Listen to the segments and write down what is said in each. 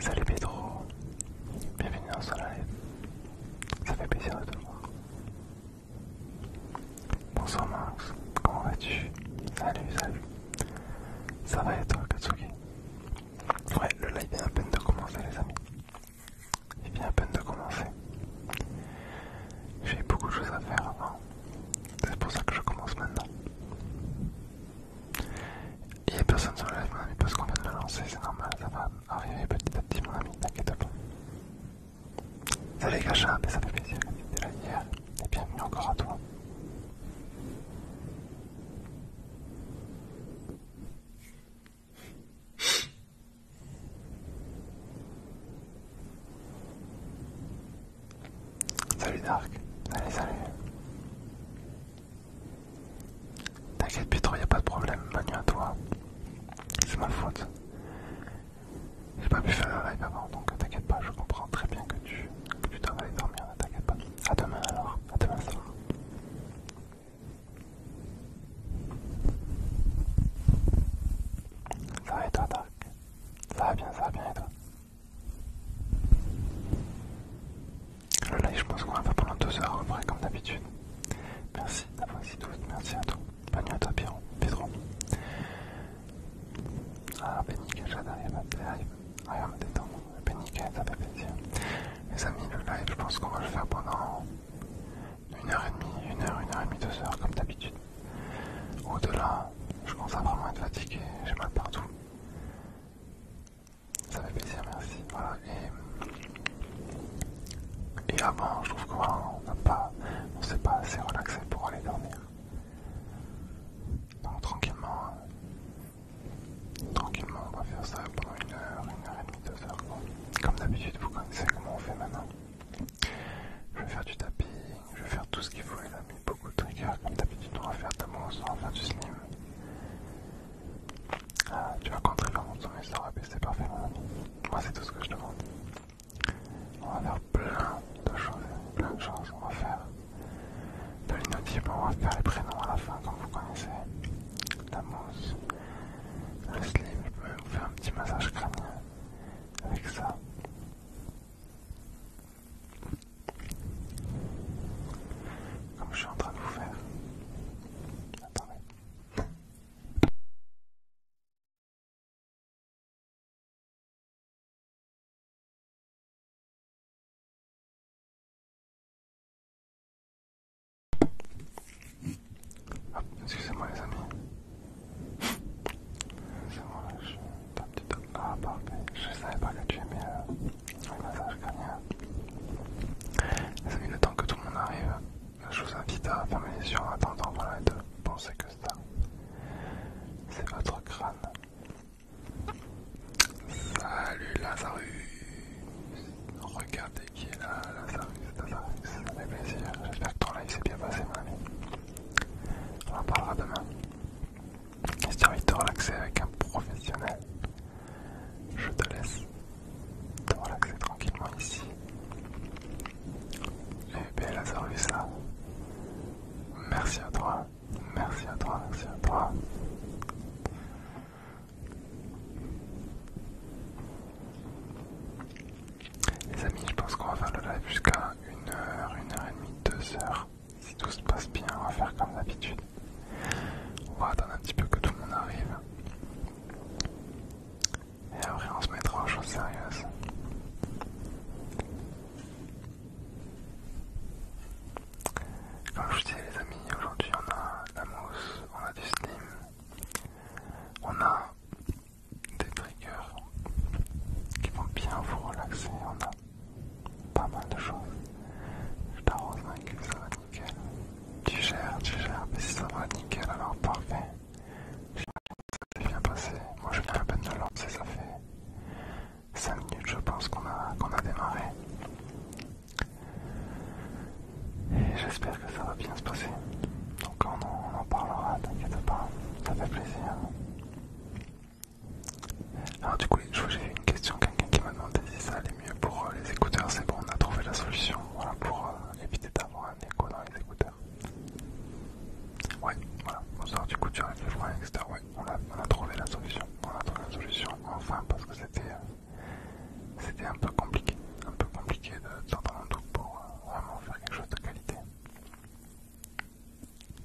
Salut Pedro, bienvenue dans soleil. ça fait plaisir de te voir. Bonsoir Max, comment vas-tu Salut, salut. Ça va être Katsuki. Ouais, le live vient à peine de commencer, les amis. Il vient à peine de commencer. J'ai beaucoup de choses à faire avant. C'est pour ça que je commence maintenant. Il n'y a personne sur le live, mon ami, parce qu'on vient de le lancer, c'est normal, ça va arriver petit à petit, mon ami, t'inquiète pas. Salut Gacha, ça fait plaisir que tu là hier. Et bienvenue encore à toi. Salut Dark, allez salut. T'inquiète Pietro, y a pas de problème, Manu à toi. C'est ma faute. J'ai pas pu faire le live avant, donc t'inquiète pas, je comprends très bien que tu, que tu dois aller dormir, t'inquiète pas. À demain alors, à demain soir. Ça va et toi, Dark Ça va bien, ça va bien et toi Le live, je pense qu'on va faire pendant 2 heures après, comme d'habitude. Merci d'avoir ici toutes, merci à toi. Bonne nuit à toi, Pierrot, Pedro. Ah, ben j'adore Cajad arrive à arrive Ah, il me détend. ben nickel, ça fait plaisir. Les amis, le live, je pense qu'on va le faire pendant une heure et demie, une heure, une heure et demie, deux heures, comme d'habitude. Au-delà, je commence à vraiment être fatigué, j'ai mal partout. Ça fait plaisir, merci. Voilà, et, avant, je trouve qu'on ne s'est pas assez relaxé pour aller dormir. Donc, tranquillement. Hein. tranquillement, on va faire ça pendant une heure, une heure et demie, deux heures. Comme d'habitude, vous connaissez comment on fait maintenant. Je vais faire du tapis je vais faire tout ce qu'il faut. Il a mis beaucoup de triggers. Comme d'habitude, on va faire de la mousse, on va faire du slim. Ah, tu vas contrer le ça aura baissé, parfait, mon hein. ami. Moi, c'est tout ce que je demande. On va faire plein de choses, plein de choses. On va faire dans les on va faire les prénoms à la fin comme vous connaissez. La mousse, le slim, je peux vous faire un petit massage crânien avec ça. Comme je suis en train de vous faire. Attendez. Excusez-moi les amis. C'est moi là, je tape du peu... Ah, parfait. Je savais pas que tu aimais euh, le massage crânien. Les amis, le temps que tout le monde arrive, je vous invite à fermer les yeux en attendant, et de penser que ça, c'est votre crâne. Salut Lazarus Regardez qui est là, Lazarus, Lazarus, ça fait plaisir. J'espère que ton live s'est bien passé, mon ami. On en parlera demain. Si tu as envie de te relaxer avec un professionnel, je te laisse te relaxer tranquillement ici. Et eh bien Lazarus, là, merci à toi Merci à toi, merci à toi. Les amis, je pense qu'on va faire le live jusqu'à 1h, 1h30, 2h. Si tout se passe bien, on va faire comme d'habitude. On va attendre un petit peu que tout le monde arrive. Et après, on se mettra aux choses sérieuses. Comme je vous disais les amis, aujourd'hui on a la mousse, on a du slim, on a des triggers qui vont bien vous relaxer, on a pas mal de choses. Je t'arrose gueule, ça va nickel. Tu gères, tu gères, mais si ça va nickel alors parfait. J'imagine que Ça s'est bien passé, moi je viens à peine de lancer, ça fait 5 minutes je pense qu'on a, qu'on a démarré. Et j'espère que ça va bien se passer. Donc on en, parlera, t'inquiète pas, ça fait plaisir. Alors du coup, j'ai une question, quelqu'un qui m'a demandé si ça allait mieux pour euh, les écouteurs. C'est bon, on a trouvé la solution, pour euh, éviter d'avoir un écho dans les écouteurs. Ouais, voilà, bonsoir, du coup tu arrives le froid, etc. Ouais, on a, trouvé la solution. On a trouvé la solution enfin parce que c'était euh, c'était un peu compliqué, un peu compliqué de sortir doute pour euh, vraiment faire quelque chose de qualité.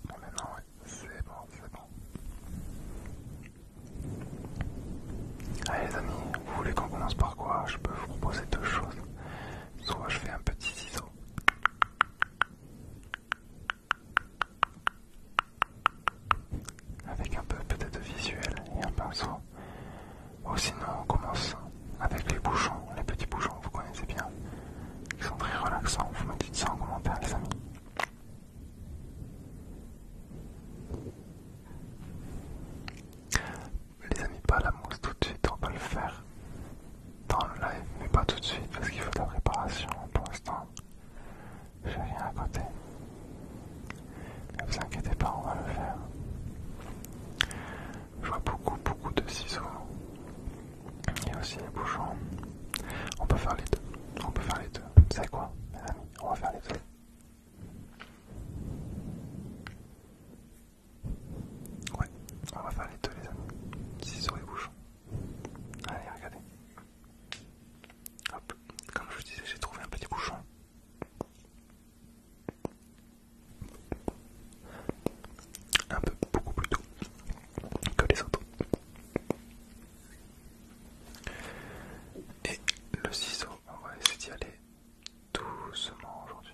Bon maintenant c'est bon, c'est bon. Allez les amis, vous voulez qu'on commence par quoi Je peux vous proposer deux choses. Soit je fais un petit ciseau avec un peu peut-être de visuel et un pinceau. Ou sinon on commence avec les bouchons, les petits bouchons vous connaissez bien, qui sont très relaxants, vous me dites ça en commentaire les amis. Les amis, pas la mousse tout de suite, on va le faire dans le live, mais pas tout de suite parce qu'il faut de la préparation pour l'instant. J'ai rien à côté. Ne vous inquiétez pas, on va le faire. Je vois beaucoup, beaucoup de ciseaux. Il y a aussi les bouchons. On peut faire les deux. On peut faire les deux. Vous savez quoi, mes amis On va faire les deux. Ouais, on va faire les deux, les amis. Ciseaux et bouchons. Allez, regardez. Hop, comme je vous disais, j'ai trouvé un petit bouchon. Un peu beaucoup plus doux que les autres. Et le ciseau, on va essayer d'y aller doucement aujourd'hui.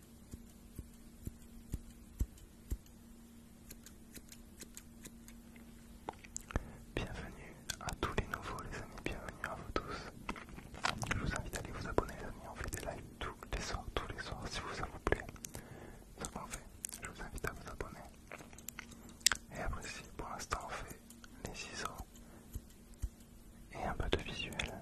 Bienvenue à tous les nouveaux les amis, bienvenue à vous tous. Je vous invite à aller vous abonner les amis, on fait des lives tous les soirs, tous les soirs si vous ça vous plaît. qu'on fait, je vous invite à vous abonner. Et après si pour l'instant on fait les ciseaux et un peu de visuel.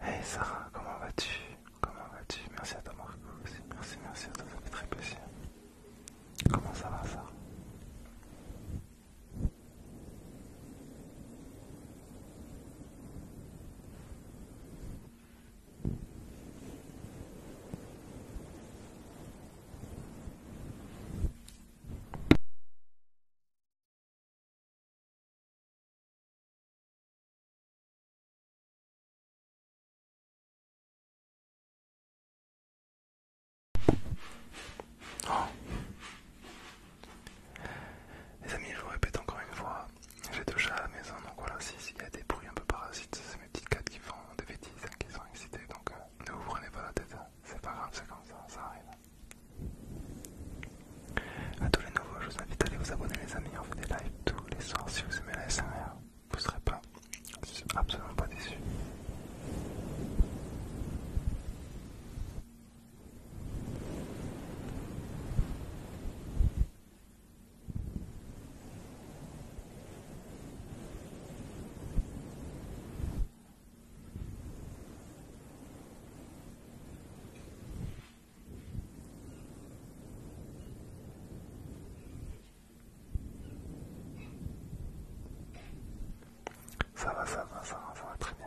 Hey Sarah, comment vas-tu Comment vas-tu Merci à toi Marco aussi. Merci, merci à toi, ça fait très plaisir. Comment ça va ça Oh. Les amis, je vous répète encore une fois, j'ai deux chats à la maison, donc voilà, s'il y a des bruits un peu parasites, c'est mes petites cattes qui font des bêtises, hein, qui sont excitées, donc euh, ne vous prenez pas la tête, hein. c'est pas grave, c'est comme ça, ça arrive. A tous les nouveaux, je vous invite à aller vous abonner les amis, en fait des tous les soirs si vous aimez la SMR. Vous ne serez pas, absolument pas déçu. Ça va, ça va, ça va, ça va très bien.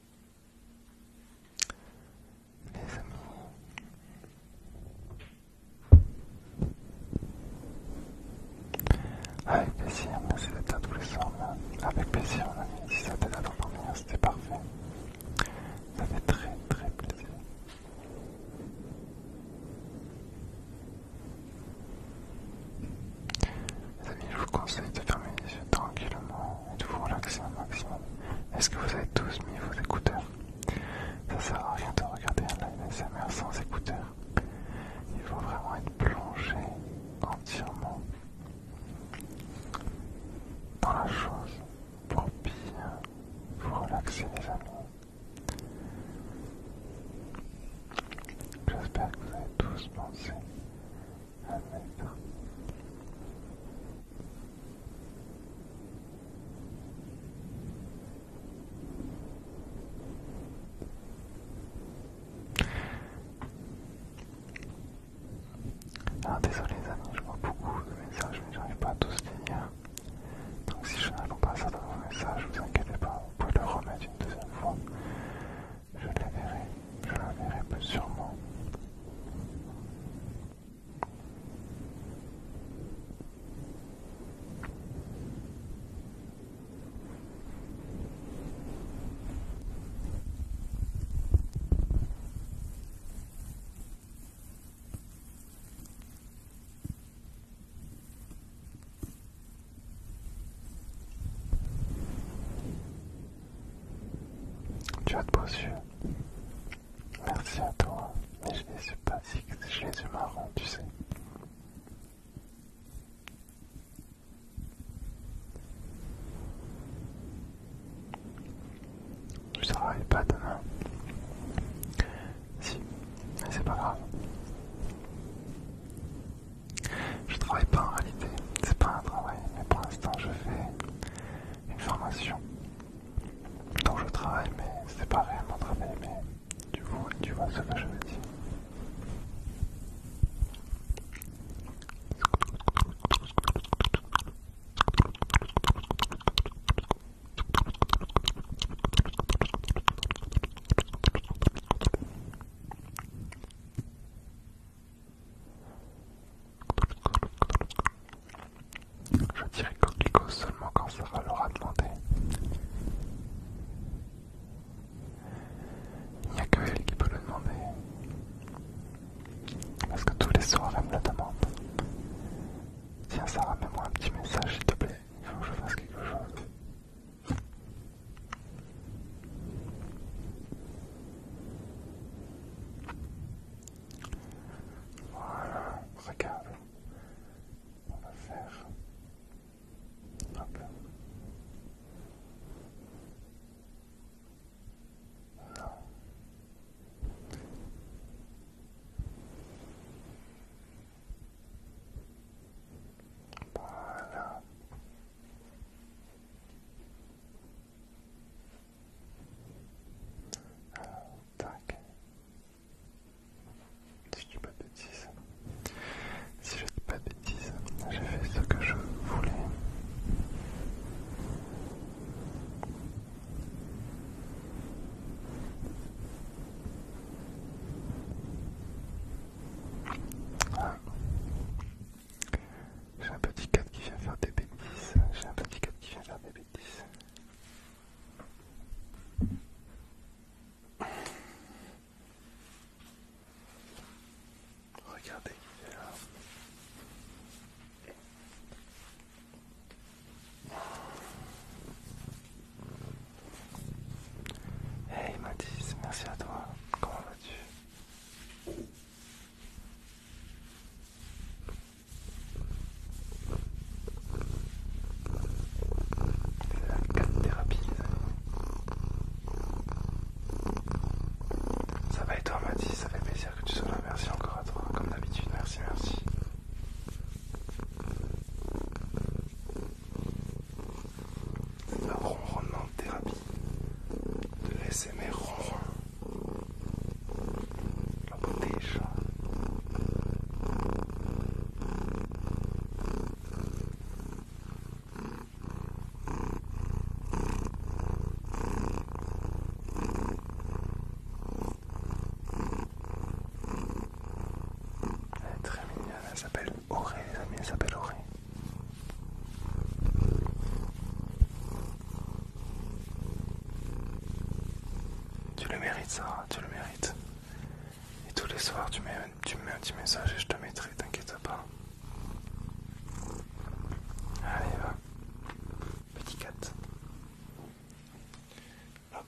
Les amis. Avec plaisir, merci d'être là tous les soirs. Avec plaisir, mon ami. Si ça t'aide à dormir, c'était parfait. Ça fait très très plaisir. Les amis, je vous conseille de fermer les yeux tranquillement relaxer un maximum. Est-ce que vous avez tous mis vos écouteurs Ça sert à rien de regarder un live SMR sans écouteurs. Il faut vraiment être plongé entièrement dans la chose pour bien vous relaxer les amis. J'espère que vous avez tous pensé à mettre ah, désolé les amis, je vois beaucoup de messages mais j'arrive pas à tous les lire. Donc si je n'arrive pas à certains de vos messages, ne vous inquiétez pas, vous pouvez le remettre une deuxième fois. Je les verrai je la verrai plus sûrement. Tu as de beaux yeux. Merci à toi. Mais je les suis pas si je les ai marrons, tu sais. Je travaille pas demain. Si, mais c'est pas grave. Je travaille pas en réalité, c'est pas un travail, mais pour l'instant je fais une formation dont je travaille, mais c'est pas réellement travailler, mais tu vois, tu vois ce que je veux dire. Je dirais coquelicot seulement quand Sarah l'aura demandé. Il n'y a que elle qui peut le demander. Parce que tous les soirs elle me la demande. Tiens Sarah, mets-moi un petit message s'il te plaît. Il faut que je fasse quelque chose. Voilà, regarde. On va faire. un peu Voilà. Euh, tac. Si je dis pas de bêtises. Si je dis pas de bêtises, j'ai fait ce que je voulais. J'ai un petit cadre qui vient faire des bêtises. J'ai un petit 4 qui vient faire des bêtises. Regardez qui est là. Hey Mathis, merci à toi. Comment vas-tu c'est la 4 thérapies, Ça va et toi, Mathis Ça fait plaisir que tu sois là. Merci encore à toi, comme d'habitude. Merci, merci. La ronronnement de thérapie de mes ronron elle est très mignonne, elle s'appelle Auré les amis, elle s'appelle Auré tu le mérites, Sarah, tu le mérites. Et tous les soirs, tu me mets un petit message et je te mettrai, t'inquiète pas. Allez, va. Petit cat Hop.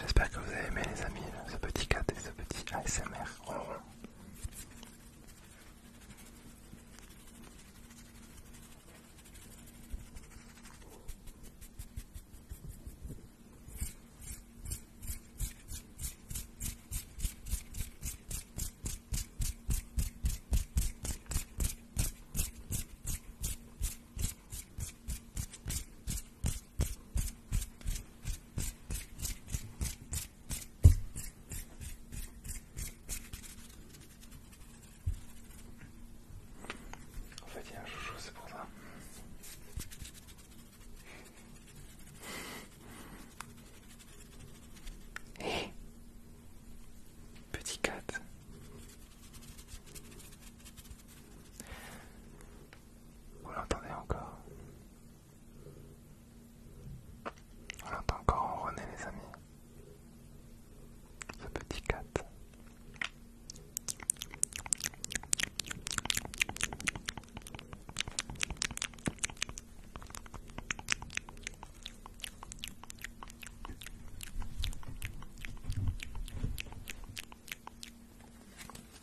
J'espère que vous avez aimé les amis ce petit cat et ce petit ASMR sa mère. En fait, il y a un chouchou, c'est pour ça. Eh Petit cat. Vous l'entendez encore On l'entend encore ronronner les amis. Ce petit cat.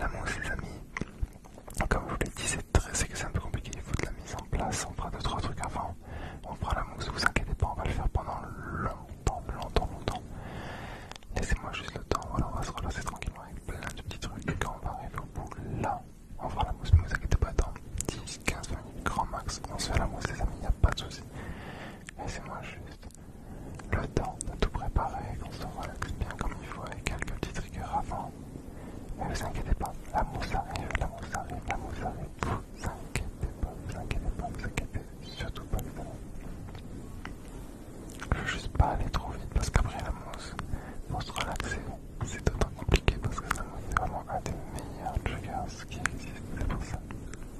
La mousse, les amis, comme je vous l'ai dit, c'est que c'est un peu compliqué. Il faut de la mise en place. On fera deux, trois trucs avant. On fera la mousse, vous inquiétez pas, on va le faire pendant longtemps, longtemps, longtemps. Laissez-moi juste le temps. Voilà, on va se relancer tranquillement avec plein de petits trucs. Et quand on va arriver au bout, là, on fera mousse. Mais vous inquiétez pas, dans 10, 15, 20 minutes, grand max, on se fait mousse, les amis, il n'y a pas de souci c'est moins juste le temps de tout préparer, qu'on se relaxe bien comme il faut avec quelques petits rigueurs avant. Mais vous inquiétez pas, la mousse arrive, la mousse arrive, la mousse arrive. Vous inquiétez pas, vous inquiétez pas, vous inquiétez surtout pas les amis. Je veux juste pas aller trop vite parce qu'après la mousse, pour se relaxer, c'est d'autant compliqué parce que ça nous fait vraiment un des meilleurs triggers qui existe, c'est pour ça.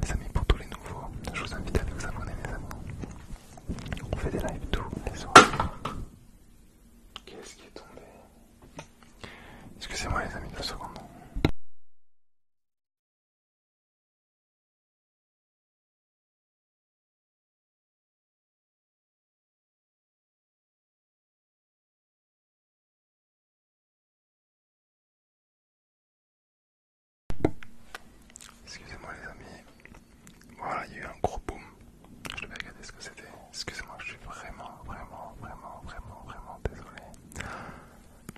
Les amis, pour tous les nouveaux, je vous invite à vous abonner, les amis. On fait des lives tous les soirs. Qu'est-ce qui est tombé Excusez-moi, les amis, deux secondes. Excusez-moi les amis, voilà il y a eu un gros boom, je vais regarder ce que c'était, excusez-moi je suis vraiment vraiment vraiment vraiment vraiment désolé,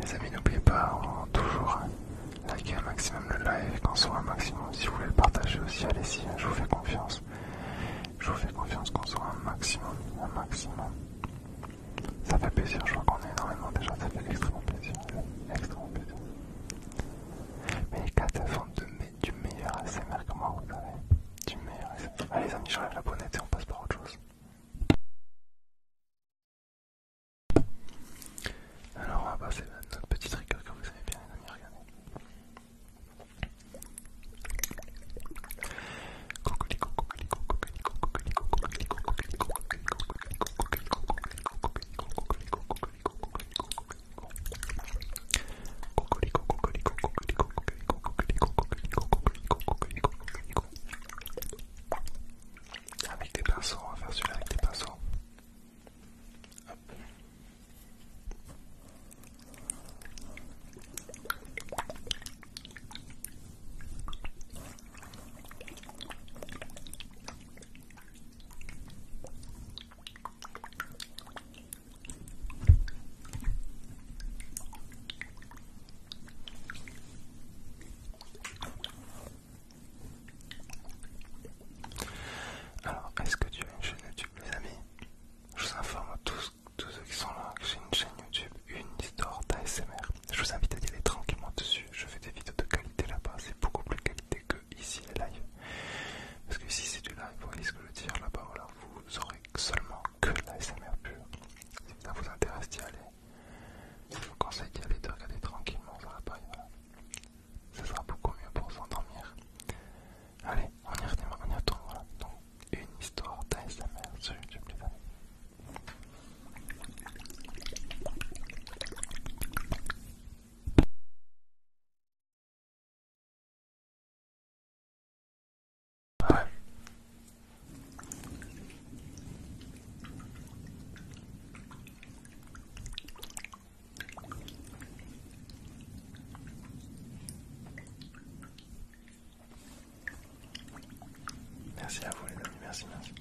Les amis, n'oubliez pas toujours liker un maximum le live, qu'on soit un maximum. Si vous voulez le partager aussi, allez-y, hein, je vous fais confiance. Je vous fais confiance qu'on soit un maximum, un maximum. Ça fait plaisir, je vois qu'on est énormément déjà, ça fait extrêmement plaisir. Extrêmement plaisir. Mais les 4 de du meilleur ASMR que moi, vous savez. Du meilleur Allez, les amis, je la bonnette et on passe par autre chose. Alors, on va passer notre petit trigger que vous aimez bien, les amis. Regardez cocolico, cocolico, cocolico, cocolico, cocolico, cocolico, cocolico, cocolico, cocolico, cocolico. Avec des pinceaux, on va faire celui-là avec des pinceaux. Hop. Alors, est-ce que tu as une chaîne YouTube, les amis Je vous informe tous, tous ceux qui sont là que j'ai une chaîne YouTube, une histoire d'ASMR. Je vous invite à y aller tranquillement dessus. Je fais des vidéos de qualité là-bas, c'est beaucoup plus qualité que ici les lives. Parce que si c'est du live, vous voyez ce que je veux dire là-bas, voilà vous aurez seulement que la SMR pure. Si ça vous intéresse d'y aller, je vous conseille d'y aller, de regarder tranquillement Ça Ce sera beaucoup mieux pour s'endormir. Allez, on y retourne, Donc, une histoire d'ASMR sur YouTube, les amis. Merci à vous les amis, merci, merci.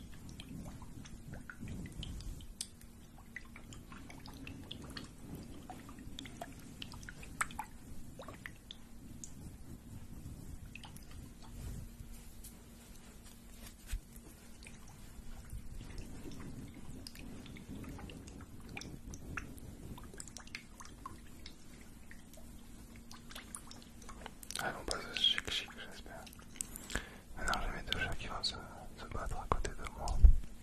Ah on pas ce chic chic j'espère. Maintenant ah j'ai mes deux chats qui vont se battre à côté de moi.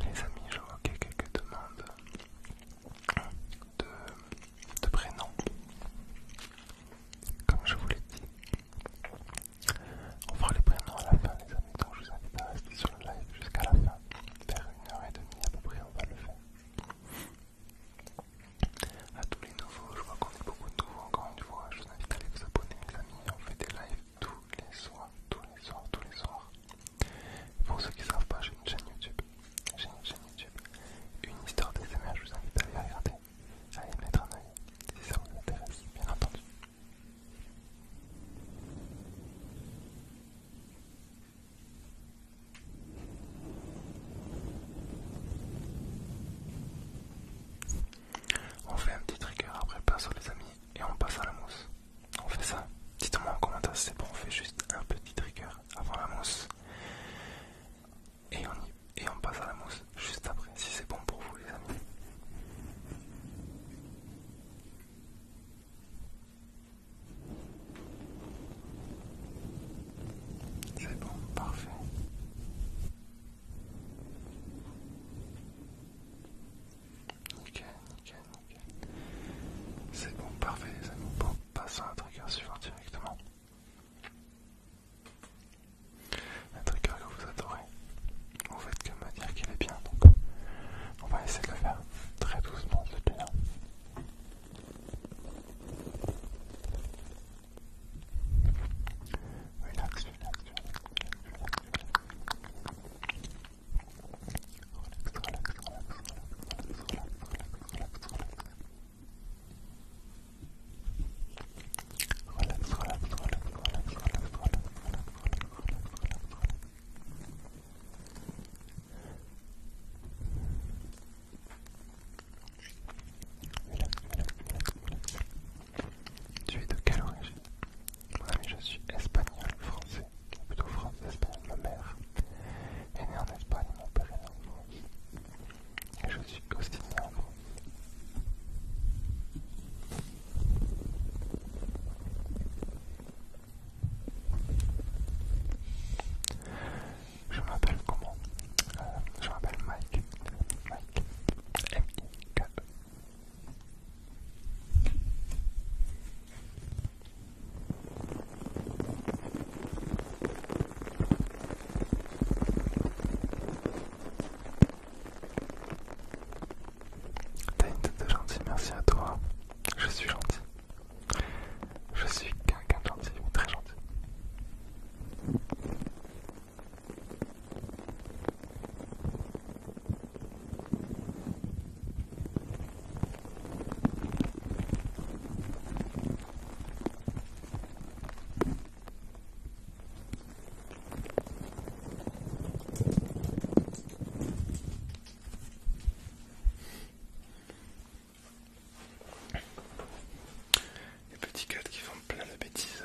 Les amis, je vois qu'il y a quelques demandes de, de prénoms. Comme je vous l'ai dit, on fera les prénoms à la fin, les amis, donc je vous invite à rester sur le live jusqu'à la fin. Vers une heure et demie à peu près, on va le faire. À tous les nouveaux, je vois qu'on est beaucoup de nouveaux encore une fois. Je vous invite à aller vous abonner, les amis. On fait des lives tous les soirs, tous les soirs, tous les soirs. Pour ceux qui ne savent pas, j'ai une chaîne YouTube. J'ai une chaîne YouTube. Une histoire des SMA, je vous invite à aller regarder, à y mettre un oeil si ça vous intéresse, bien entendu. On fait un petit trigger après sur les amis et on passe à la mousse. On fait ça. Dites-moi en commentaire si c'est bon, on fait juste un petit trigger avant la mousse et on, et on passe à la mousse juste après, si c'est bon pour vous les amis. C'est bon, parfait. Ok, ok, ok. C'est bon, parfait les amis. Bon, passons à la à suivre directement un trigger que vous adorez, vous faites que me dire qu'il est bien, donc on va essayer de le faire très doucement de Relax, relax, relax, relax, relax, relax, relax, relax, relax, relax, relax. Relax, Tu es de quelle origine je suis espagnol, français, ou plutôt français, espagnol, ma mère est née en Espagne, mon père est en France. Et je suis aussi né en France. Je m'appelle comment euh, Je m'appelle Mike. Mike. m T'as une tête de gentil, merci à toi. Je suis gentil. Je suis quelqu'un de gentil, très gentil. Les petits gars qui font plein de bêtises.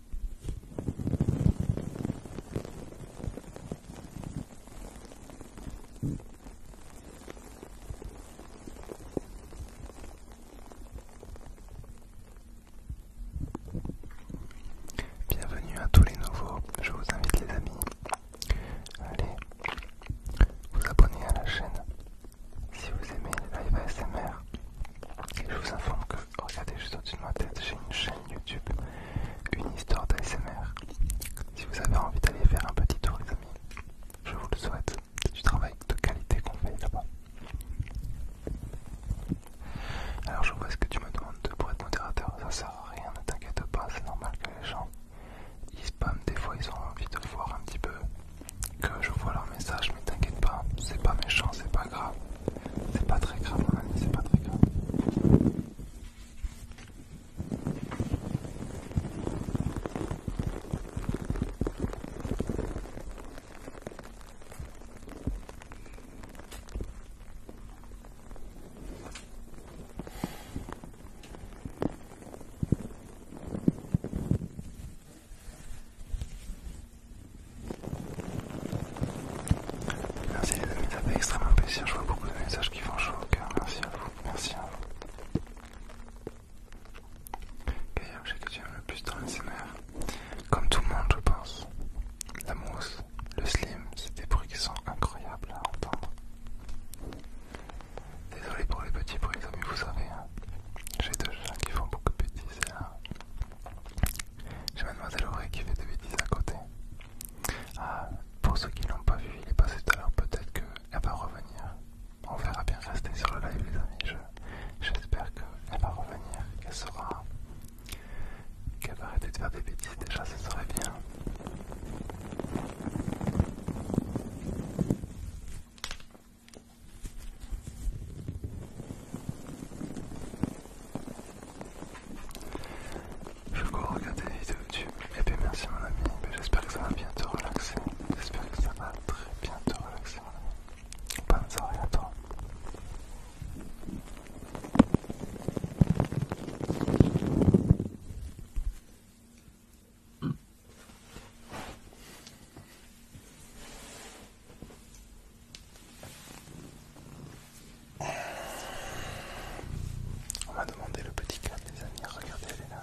Bienvenue à tous les nouveaux, je vous invite les amis, allez vous abonner à la chaîne si vous aimez les live ASMR je vous informe que, regardez juste au-dessus de ma tête, j'ai une chaîne YouTube, une histoire d'ASMR. Si vous avez envie d'aller faire un petit tour, les amis, je vous le souhaite. C'est du travail de qualité qu'on fait là-bas. Alors, je vois ce que tu me demandes de pour être modérateur. Ça sert à rien, ne t'inquiète pas, c'est normal que les gens ils spamment. Des fois, ils ont envie de voir un petit peu que je vois leur message, mais t'inquiète pas, c'est pas méchant, c'est pas grave. C'est pas très grave, hein, c'est pas très grave. Merci les amis, ça fait extrêmement plaisir, je vois beaucoup de messages qui font chaud au cœur, merci à vous, merci à vous. Quel est que tu aimes le plus dans l'ASMR Comme tout le monde je pense. La mousse, le slim, c'est des bruits qui sont incroyables à entendre. Désolé pour les petits bruits, mais vous savez, hein. j'ai deux gens qui font beaucoup de bêtises j'ai Mademoiselle Auré qui fait des bêtises à côté. Ah, pour ceux qui l'ont pas vu, il est passé tout à l'heure, peut-être qu'elle va revenir. On verra bien rester sur le live les amis. J'espère qu'elle va revenir, qu'elle sera... qu'elle va arrêter de faire des bêtises déjà, ce serait bien. Je crois regarder des vidéos YouTube. Et eh bien, merci mon ami, eh j'espère que ça va bien te relaxer. J'espère que ça va très bien te relaxer mon ami. Bonne soirée à toi. On m'a demandé le petit cadre, des amis. Regardez, elle est là.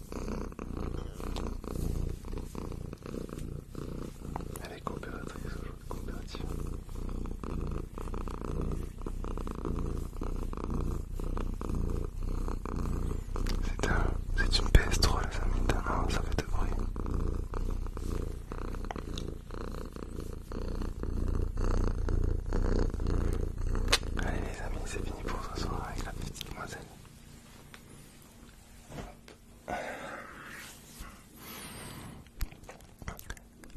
Elle est coopératrice aujourd'hui, coopérative. C'est un, c'est une PS3 les amis, an ça fait de bruit. Allez les amis, c'est fini pour ce soir avec la petite demoiselle.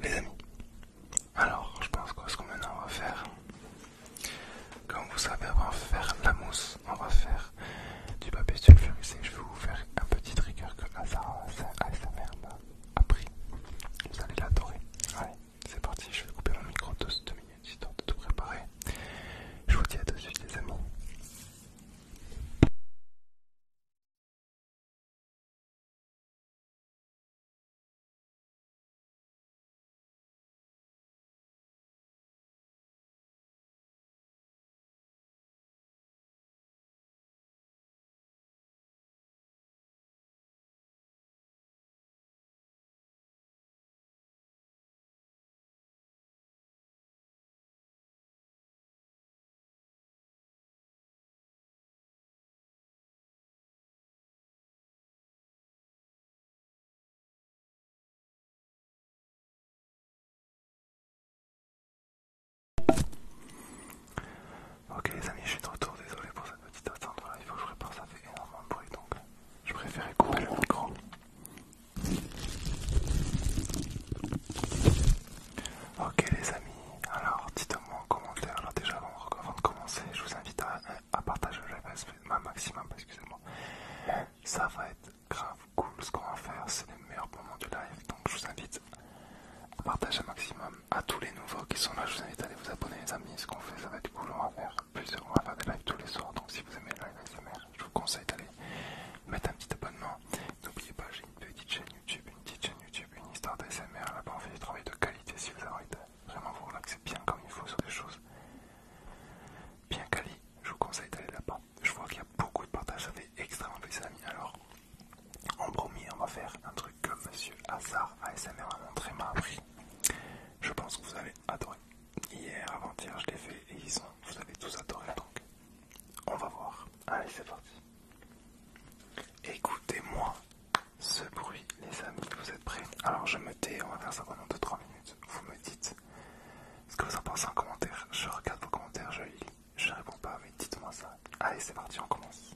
Les amis, alors je pense que ce qu'on maintenant on va faire, comme vous savez, on va faire la mousse, on va faire du papier sulfurisé. Je vais vous faire un petit trigger que ça m'a appris. Vous allez l'adorer. Allez, c'est parti, je vais couper mon micro de ce minutes minutes, de tout préparer. Je vous dis à tout de suite les amis. Ok les amis, je suis de retour, désolé pour cette petite attente, là, il faut que je répare, ça fait énormément de bruit donc je préférais couper le micro Ok les amis, alors dites-moi en commentaire, alors déjà avant de commencer, je vous invite à, partager le live maximum, excusez-moi. Ça va être grave cool ce qu'on va faire, c'est les meilleurs moments du live, donc je vous invite à partager un maximum. À tous les nouveaux qui sont là, je vous invite à aller vous abonner les amis, ce qu'on fait ça va être cool, on va faire plusieurs, lives tous les soirs, donc si vous aimez le live je vous conseille d'aller mettre un petit abonnement. N'oubliez pas, j'ai une petite chaîne YouTube, une petite chaîne YouTube, une histoire d'ASMR. Là-bas, on fait du travail de qualité si vous avez vraiment vous relaxer bien comme il faut sur des choses bien quali. Je vous conseille d'aller là-bas. Je vois qu'il y a beaucoup de partages, ça fait extrêmement plaisir, amis. Alors, en premier, on va faire un truc que Monsieur Hazard ASMR a montré m'a appris. Je pense que vous allez adorer hier, avant-hier, je l'ai fait et ils sont, vous avez tous adoré donc. On va voir. Allez, c'est parti. Écoutez-moi ce bruit, les amis. Vous êtes prêts Alors, je me tais. On va faire ça pendant 2-3 minutes. Vous me dites ce que vous en pensez en commentaire. Je regarde vos commentaires, je lis. Je réponds pas, mais dites-moi ça. Allez, c'est parti, on commence.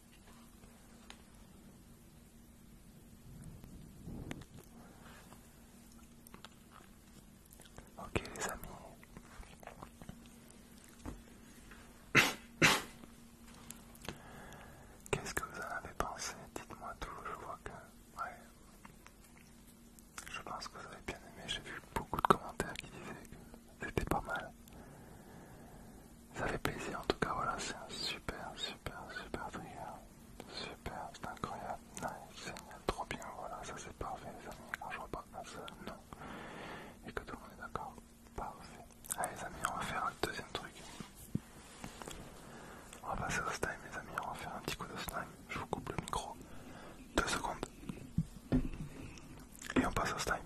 Ok les amis. Qu'est-ce que vous en avez pensé Dites-moi tout, je vois que... Ouais. Je pense que vous avez bien aimé, j'ai vu beaucoup de commentaires qui disaient que c'était pas mal. Ça fait plaisir en tout cas, voilà, c'est un super, super, super trigger. Hein. Super, c'est incroyable. Nice, trop bien, voilà, ça c'est parfait les amis. Quand je vois un seul non, et que tout le monde est d'accord, parfait. Allez les amis, on va faire un deuxième truc. On va passer au slime les amis, on va faire un petit coup de slime. Je vous coupe le micro. Deux secondes. Et on passe au slime.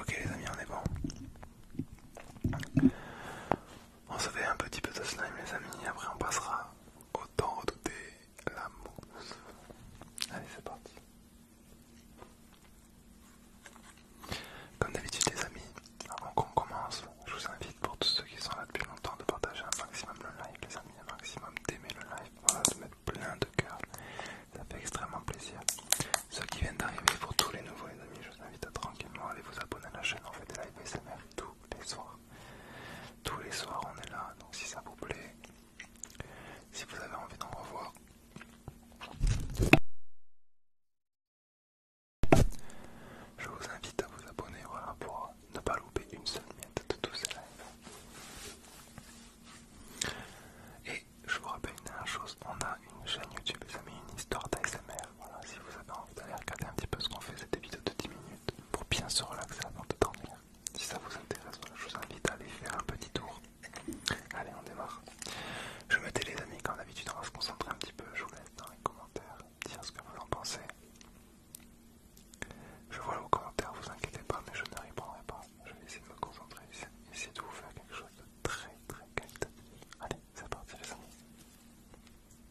Ok les amis, on est bon. On se fait un petit peu de slime les amis, après on passera au Tant redouter l'amour. Allez, c'est parti. Comme d'habitude les amis, avant qu'on commence, je vous invite pour tous ceux qui sont là depuis longtemps de partager un maximum le live les amis, un maximum d'aimer le live, voilà, de mettre plein de cœurs, ça fait extrêmement plaisir. Ceux qui viennent d'arriver, pour tous les nouveaux les amis, je vous invite à tranquillement aller vous abonner à la chaîne, on fait des lives SMR tous les soirs. Tous les soirs on est là, donc si ça vous plaît, si vous avez envie d'en revoir, je vous invite à vous abonner pour ne pas louper une seule miette de tous ces lives. Et je vous rappelle une dernière chose, on a une chaîne YouTube, les amis, une histoire d'ASMR. Voilà, si vous avez envie d'aller regarder un petit peu ce qu'on fait, cet épisode de 10 minutes pour bien se relaxer avant de dormir. Si ça vous intéresse, je vous invite à aller faire un petit tour. Allez, on démarre. Je me les amis, comme d'habitude, on va se concentrer un petit peu. Je vous laisse dans les commentaires dire ce que vous en pensez. Je vois vos commentaires, vous inquiétez pas, mais je ne répondrai pas. Je vais essayer de me concentrer, essayer de vous faire quelque chose de très très calme. Allez, c'est parti les amis.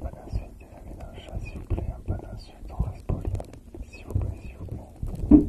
Pas d'insulte, les amis chat, s'il vous plaît, pas d'insulte, on reste poli. S'il vous plaît, s'il vous plaît.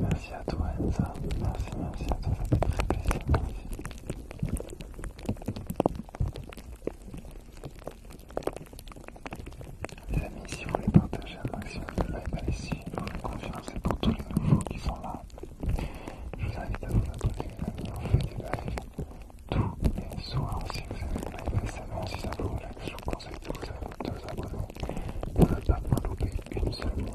Merci à toi Enza, merci, merci à toi, ça fait très plaisir, merci. Les amis, si vous voulez partager un maximum de live, allez y Je vous faites confiance, c'est pour tous les nouveaux qui sont là. Je vous invite à vous abonner les amis, on fait des lives tous les soirs. Si vous aimez le live récemment, si ça vous relaxe, je vous conseille de vous abonner Vous ne pas vous louper une seule minute.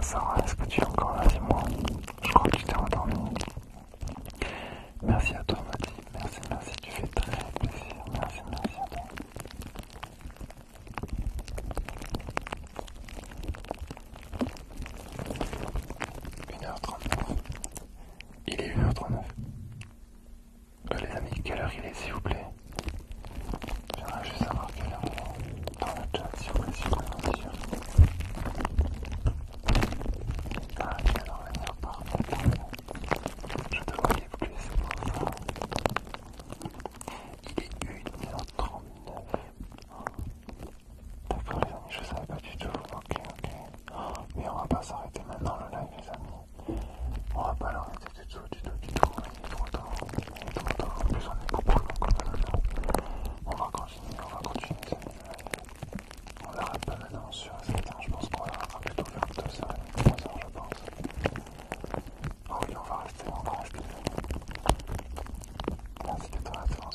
Sarah, est-ce que tu es encore là C'est moi Je crois que tu t'es endormi. Merci à toi, Mathieu Merci, merci. Tu fais très plaisir. Merci, merci à toi. 1h39. Il est 1h39. Allez euh, les amis, quelle heure il est s'il vous plaît J'aimerais juste savoir quelle heure il est dans le chat s'il vous plaît, s'il vous plaît, bien sûr. Ah, parfait, Je plus Il est 1h39. D'accord les amis, je savais pas du tout. Ok, ok. mais on va pas s'arrêter maintenant le live les amis. On va pas l'arrêter du tout, du tout, du tout. En plus on est beaucoup On va continuer, on va continuer On On pas maintenant sur Je pense qu'on va plutôt faire 2h, trois heures, je pense. oh, oui, on va rester encore en Merci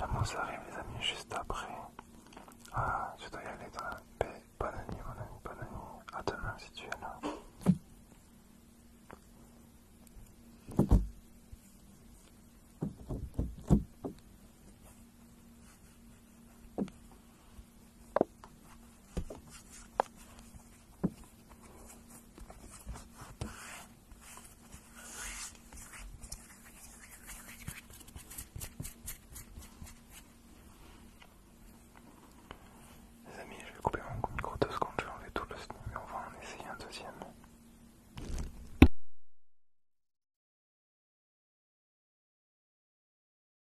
La mousse arrive les amis juste après. Ah, tu dois y aller dans la paix. Bonne nuit, mon ami, bonne nuit. À demain si tu es là. Les amis, je vais couper mon micro deux secondes, je vais enlever tout le son et on va en essayer un deuxième.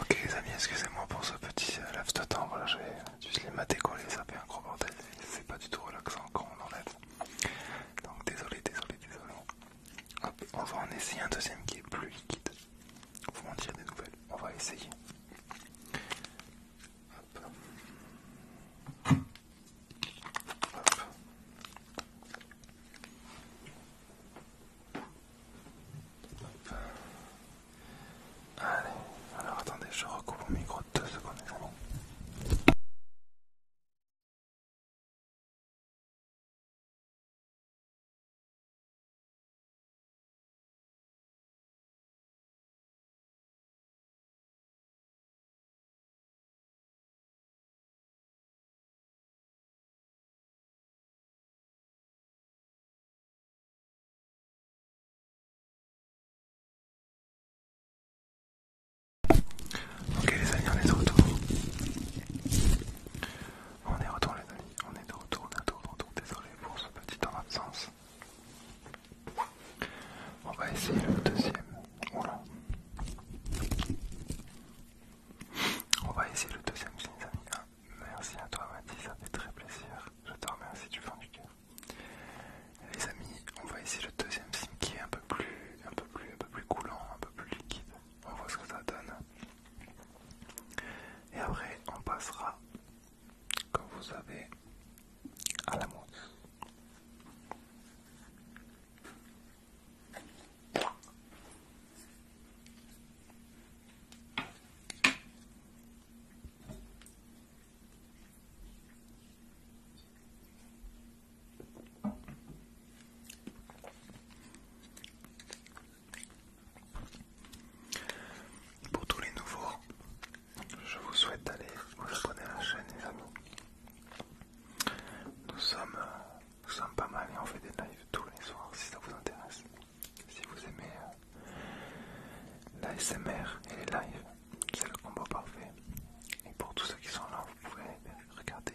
Ok les amis, excusez-moi pour ce petit lave euh, laps de temps, voilà j'ai juste les maths ça fait un gros bordel, c'est pas du tout relaxant quand on est, Donc désolé, désolé, désolé. Hop, on va en essayer un deuxième qui est plus liquide. Vous m'en dire des nouvelles. On va essayer. Allez, alors attendez, je recoupe mon micro deux secondes Ok les amis, on est de retour. On est retour les amis, on est de retour bientôt, retour. désolé pour ce petit temps d'absence. On va essayer le deuxième. On va essayer le deuxième signe les amis. Hein. merci à toi Mathis, ça fait très plaisir. Je te remercie du fond du cœur. Les amis, on va essayer le deuxième signe qui est un peu plus un peu plus un peu plus coulant, un peu plus liquide on voit ce que ça donne. Et après, on passera, quand vous avez à la mousse. Pour tous les nouveaux, je vous souhaite d'aller vous abonner à la chaîne et amis. Nous sommes, nous sommes pas mal et on fait des lives tous les soirs si ça vous intéresse. Si vous aimez euh, l'ASMR et les lives, c'est le combo parfait. Et pour tous ceux qui sont là, vous pouvez regarder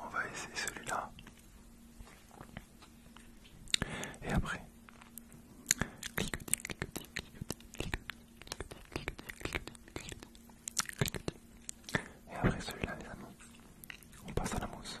on va essayer celui-là. Et après, clique, clique-tique, clique tique clique cliquetis, clique cliquetis, clique cliquetis. Et après celui-là, les amis, on passe à la mousse.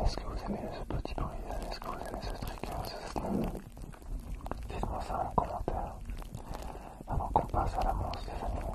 Est-ce que vous aimez ce petit bruit Est-ce que vous aimez ce trick hein, ce Dites-moi ça en commentaire avant qu'on passe à la manche des animaux.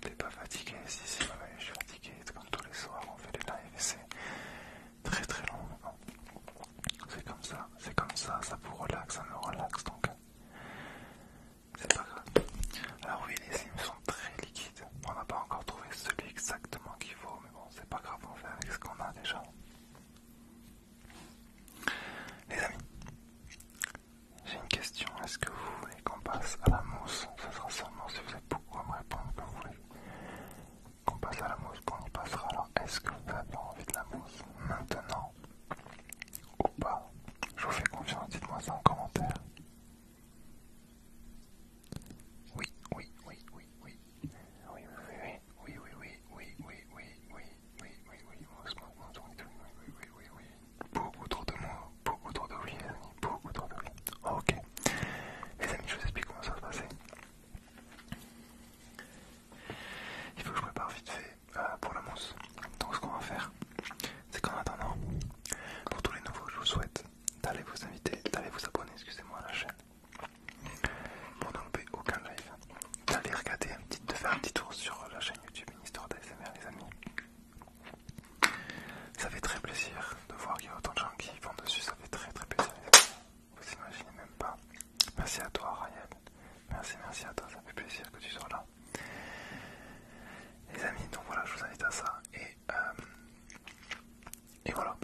T'es pas fatigué Si, si, je suis fatigué. Comme tous les soirs, on fait les lives c'est très très long. C'est comme ça, c'est comme ça, ça vous relaxe, ça me relaxe donc. Euh, c'est pas grave. Alors, oui, les sims sont très liquides. On n'a pas encore trouvé celui exactement qu'il faut, mais bon, c'est pas grave, on fait avec ce qu'on a déjà. Les amis, j'ai une question. Est-ce que vous voulez qu'on passe à la mousse Ce sera seulement si vous êtes beaucoup à me répondre que vous voulez qu'on passe à la mousse, qu'on y passera. Alors, est-ce que vous avez envie de la mousse maintenant ou pas Je vous fais confiance, dites-moi ça en commentaire. oui. Oui, oui, oui, oui, oui, oui, oui, oui, oui, oui, oui, oui, oui, oui, oui, oui, oui, oui, oui, beaucoup autour de moi, beaucoup autour de oui, les amis, beaucoup de oui. Ok, les amis, je vous explique comment ça va se passer. Il faut que je prépare vite fait euh, pour la mousse. Donc, ce qu'on va faire, c'est qu'en attendant, pour tous les nouveaux, je vous souhaite d'aller vous inviter, d'aller vous abonner, excusez-moi, à la chaîne pour ne louper aucun live d'aller regarder un petit, de faire un petit tour sur la chaîne YouTube Une histoire d'ASMR les amis. Ça fait très plaisir de voir qu'il y a autant de gens qui vont dessus, ça fait très très plaisir les amis. Vous imaginez même pas. Merci à toi Ryan. Merci, merci à toi, ça fait plaisir que tu sois là. Les amis, donc voilà, je vous invite à ça. Et, euh, et voilà.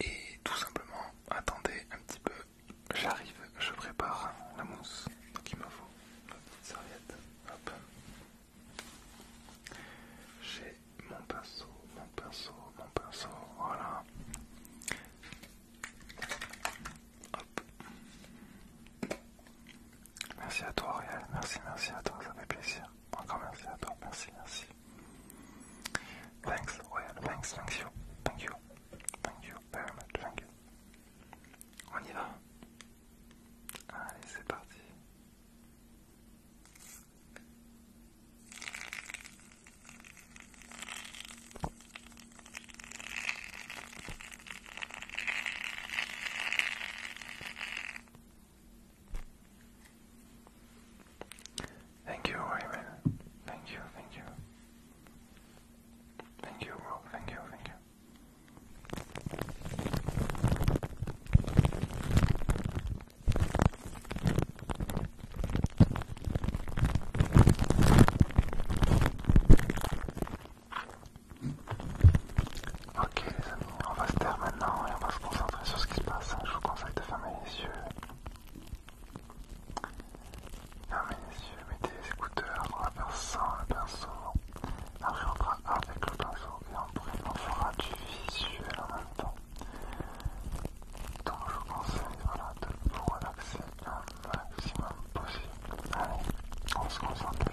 Et tout simplement, attendez un petit peu J'arrive, je prépare la mousse. Donc me faut ma petite serviette. Hop. J'ai mon pinceau, mon pinceau, mon pinceau. Voilà. Hop. Merci à toi Royal, merci, merci à toi, ça fait plaisir. Encore merci à toi, merci, merci. Thanks Royal, thanks, thanks you, thank you, thank you very much, thank you. On y va Allez, c'est parti. Thank you, Raymond. Thank you, thank you. Thank you, Thank you, thank you. Ok les amis, on va se taire maintenant et on va se concentrer sur ce qui se passe. Je vous conseille de fermer les yeux Mesdames les yeux, mettez les écouteurs, on va faire sans le pinceau. Après on fera avec le pinceau et on fera du visuel en même temps. Donc je vous conseille de vous relaxer un maximum possible. Allez, on se concentre les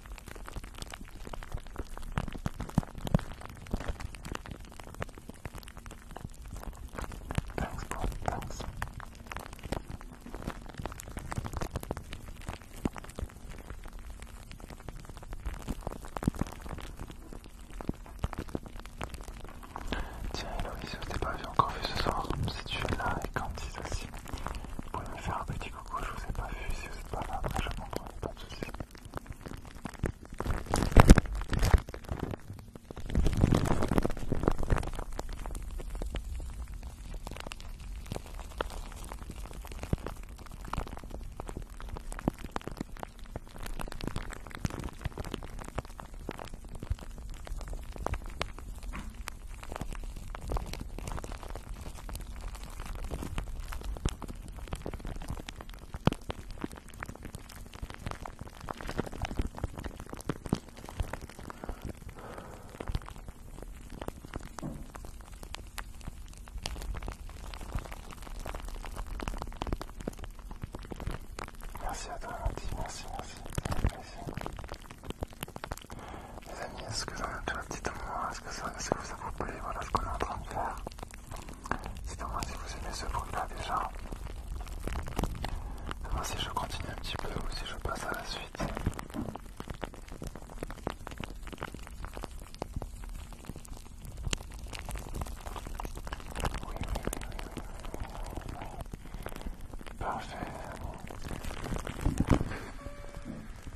Thanks, bro. Thanks. Tiens, Héloïse, je t'ai pas vu encore vu ce soir. Si tu es là et quand ils aussi. Vous pouvez me faire un petit coucou, je vous ai pas vu, si vous êtes pas là, après je comprends, pas de soucis. Merci à toi, merci. merci. Les amis, est-ce que dites-moi, est-ce que, ça vous plaît, voilà ce qu'on est en train de faire. Dites-moi si vous aimez ce bruit-là déjà. Dites-moi si je continue un petit peu ou si je passe à la suite. Oui, oui, oui.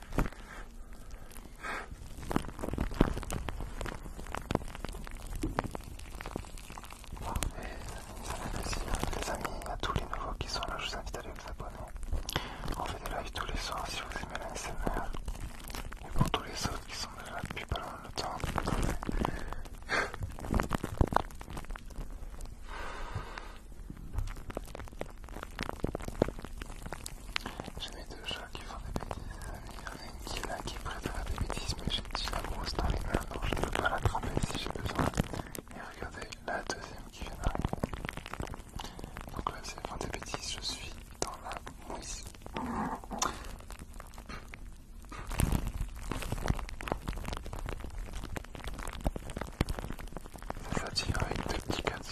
Parfait, Parfait, ça fait plaisir les amis, à tous les nouveaux qui sont là, je vous invite à aller vous abonner. On fait des lives tous les soirs si vous aimez la SMR. Et pour tous les autres qui sont là depuis pas longtemps j'ai mes deux chats qui font des bêtises, il y en a une qui est là qui est prête à faire des bêtises, mais j'ai la mousse dans les mains, donc je ne peux pas tremper si j'ai besoin. Et regardez la deuxième qui vient d'arriver. Donc là, c'est fin des bêtises, je suis dans la mousse. C'est tire avec des petites cas de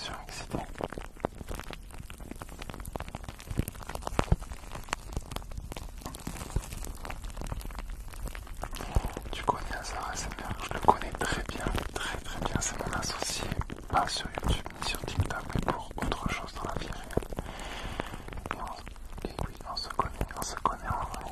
Tu connais Azar bien. je le connais très bien, très très bien, c'est mon associé, pas sur YouTube ni sur TikTok, mais pour autre chose dans la vie réelle. oui, on se connaît, on se connaît en vrai.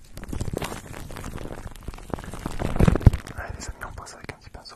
Allez les amis, on passe avec un petit pinceau.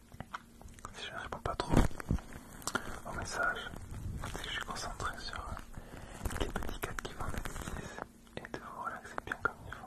si je ne réponds pas trop au message, si je suis concentré sur euh, les petits cadres qui vont 6 et de vous relaxer bien comme il faut.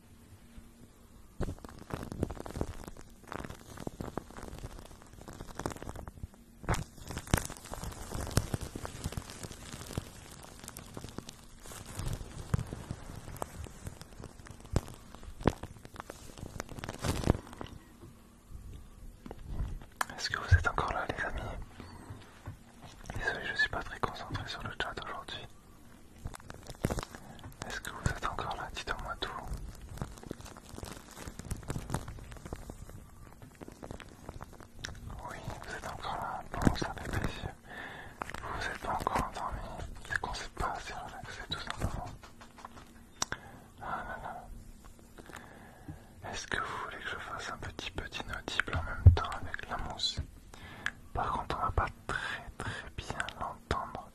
Est-ce que vous êtes encore là les amis Désolé, je suis pas très concentré sur le chat aujourd'hui. Est-ce que vous êtes encore là Dites-moi tout. Oui, vous êtes encore là. Bon, ça fait plaisir. Vous êtes encore endormi. C'est qu'on s'est pas assez relaxé tout simplement. Ah là Est-ce que vous voulez que je fasse un petit petit notible en même temps avec la mousse par contre, on va pas très très bien l'entendre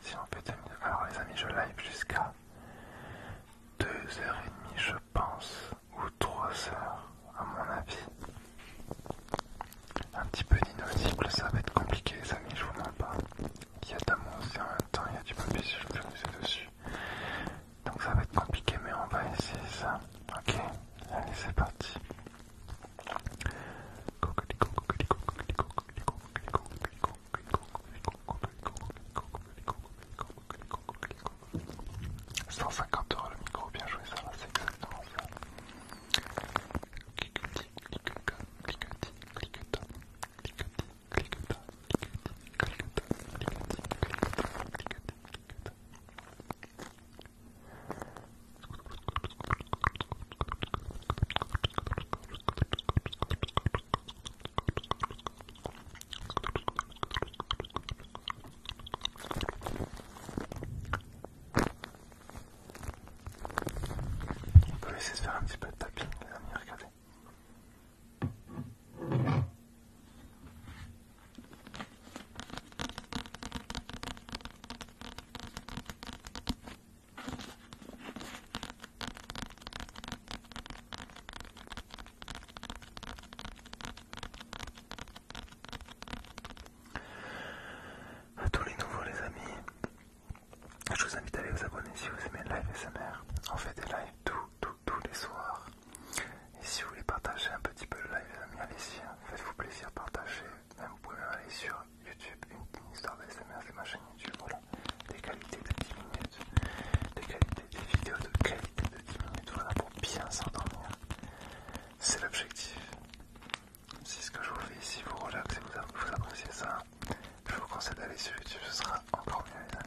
si on fait Alors, les amis, je live jusqu'à 2h30, je pense, ou 3h, à mon avis. Un petit peu d'inaudible, ça va être compliqué, les amis, je vous mens pas. Il y a d'amour la en même temps, il y a du papier dessus. Donc, ça va être compliqué, mais on va essayer ça. Ok, allez, c'est parti. 150 euros le micro, bien joué, ça va, c'est exactement ça. Cliquetis, cliquetas, cliquetis, cliquetas, cliquetis, cliquetas, cliquetis, cliquetas, cliquetis, cliquetas, cliquetis, cliquetas. On peut laisser de faire un petit peu de tapping, les amis, regardez. À tous les nouveaux les amis, je vous invite à aller vous abonner si vous aimez le live SMR. On fait des lives tous, les soirs. Et si vous voulez partager un petit peu le live les amis, allez-y, hein. faites-vous plaisir, partager vous pouvez aller sur YouTube, une, histoire histoire d'ASMR, c'est ma chaîne YouTube, voilà, des qualités de 10 minutes, des qualités, des vidéos de qualité de 10 minutes, voilà, pour bien s'endormir, c'est l'objectif. Si ce que je vous fais ici vous relaxe et vous, vous appréciez ça, je vous conseille d'aller sur YouTube, ce sera encore mieux les amis.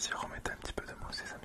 Si on un petit peu de mousse, ses amis.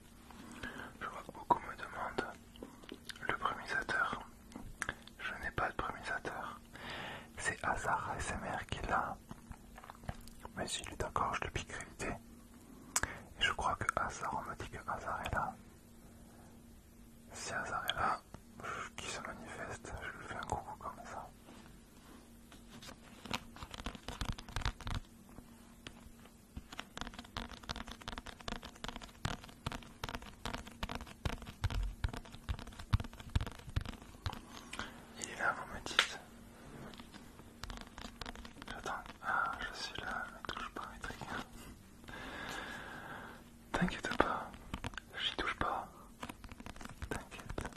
Je vois que beaucoup me demandent le prémisateur. Je n'ai pas de prémisateur. C'est Hazard ASMR qui là. Mais il est d'accord, je le piquerai Et je crois que Hazard, on me dit que Hazard est là. Si Hazard est là, qui se manifeste, je lui fais un coucou comme ça. Il est là, vous me dites. J'attends. Ah, je suis là, ne touche pas mes T'inquiète pas, n'y touche pas. T'inquiète.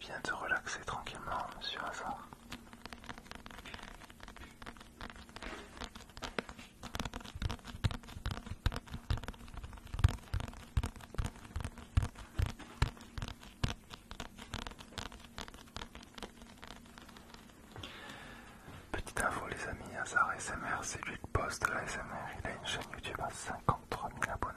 Viens te relaxer tranquillement, monsieur Hazard. Petite info les amis, Hazard SMR, c'est lui le boss la SMR, il a une chaîne YouTube à 53 000 abonnés.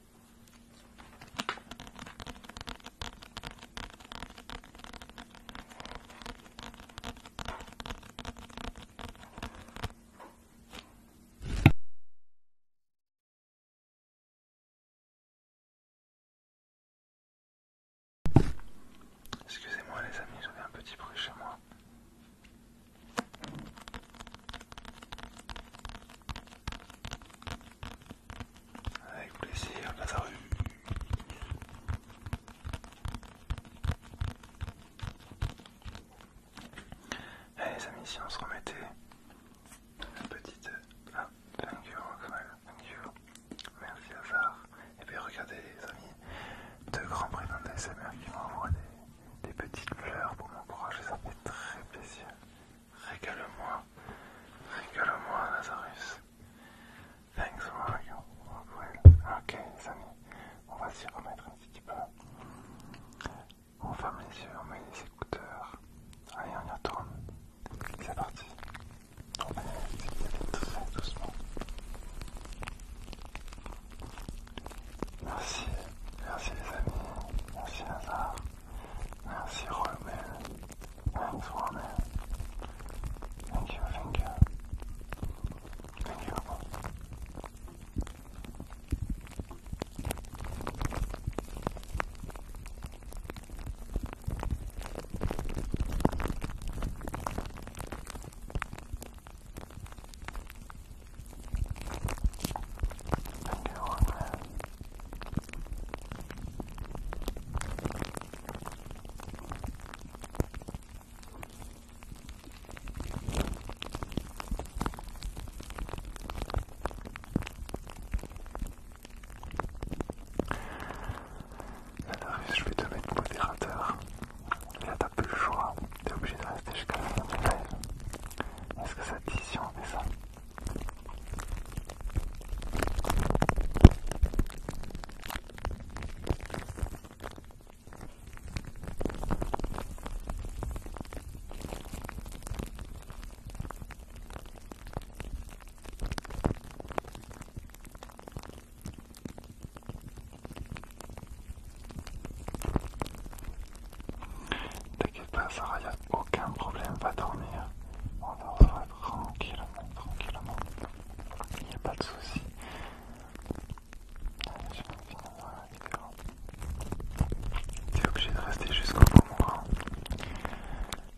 Excusez-moi les amis, j'avais un petit bruit chez moi. Avec plaisir, Lazarus. Allez eh, les amis, si on se remettait une petite... Euh, ah, thank you, Roxwell, thank you. Merci Et puis regardez les amis, deux grands prétendants SMR qui m'ont envoyé des des petites fleurs pour mon m'encourager, ça fait très plaisir. Régale-moi, régale-moi, Lazarus. Thanks, Mario. Ok, les amis, on va s'y remettre un petit peu. On ferme les yeux, on met les écouteurs. Allez, on y retourne. C'est parti. On va y aller très doucement. Merci, merci les amis, merci Hazard, merci Romel, thanks Romel, thank you, thank you, thank you je vais te mettre modérateur. Là, pas plus le choix. T'es obligé de rester jusqu'à la fin du live. Est-ce que ça te dit si on fait ça T'inquiète pas, Sarah, y a aucun problème, va dormir. On dormira tranquillement, tranquillement. n'y a pas de soucis. Allez, je vais finir la vidéo. T'es obligé de rester jusqu'au moment. Hein.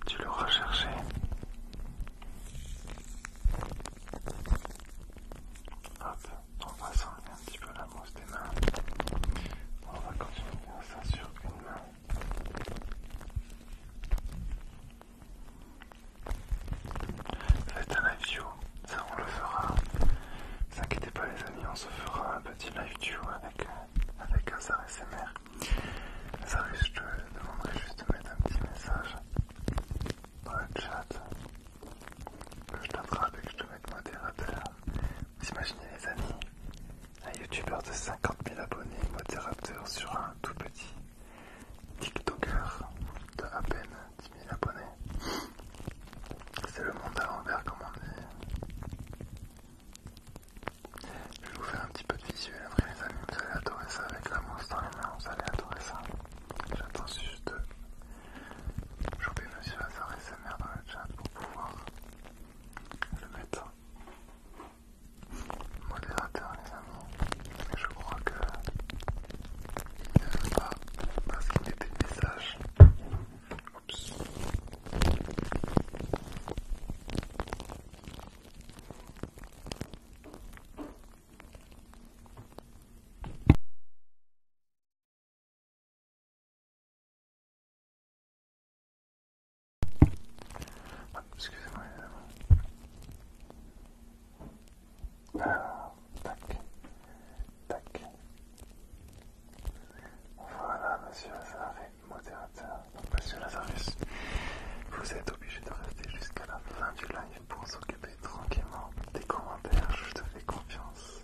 Tu le cherché Hop, on va s'enlever un petit peu la mousse on va continuer ça sur une main. Faites un live view, ça on le fera. Ne inquiétez pas les amis, on se fera un petit live view avec, avec un SMR. Azar, je te demanderai juste de mettre un petit message dans le chat. Que je t'attrape et que je te mette modérateur. Vous imaginez les amis, un youtubeur de 50 000 abonnés, modérateur sur un tout petit tiktoker de à peine 10 000 abonnés. C'est le monde à l'envers comme on dit. Je vais vous faire un petit peu de visuel après les amis, vous allez adorer ça avec la monstre dans les mains, vous allez adorer ça. J'attends juste de jouer monsieur Hazard et sa dans le chat pour pouvoir le médecin. Modérateur, les mais je crois que il ne veut pas parce qu'il était des messages. Oups. Excusez-moi, tac, tac. Voilà, monsieur Lazare, modérateur. monsieur Lazarus, vous êtes obligé de rester jusqu'à la fin du live pour s'occuper tranquillement des commentaires. Je te fais confiance.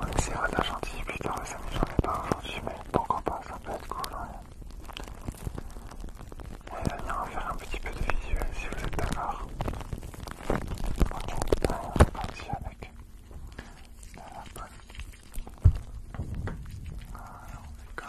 On essaiera de la gentille, putain, le samedi j'en ai pas aujourd'hui, mais pourquoi pas, ça peut être cool, ouais. Et eh, là, on va faire un petit peu de visuel si vous êtes d'accord. Ok, ah, on va parti avec la lapone. Voilà, on ça.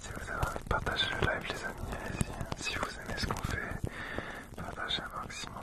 Si vous avez envie de partager le live les amis, allez-y. Si vous aimez ce qu'on fait, partagez un maximum.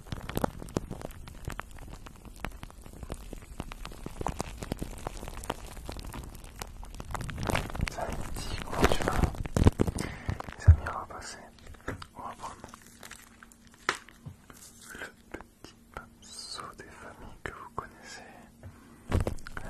Ça dit comment tu vas Les amis, on va passer, on va prendre le petit pinceau des familles que vous connaissez. La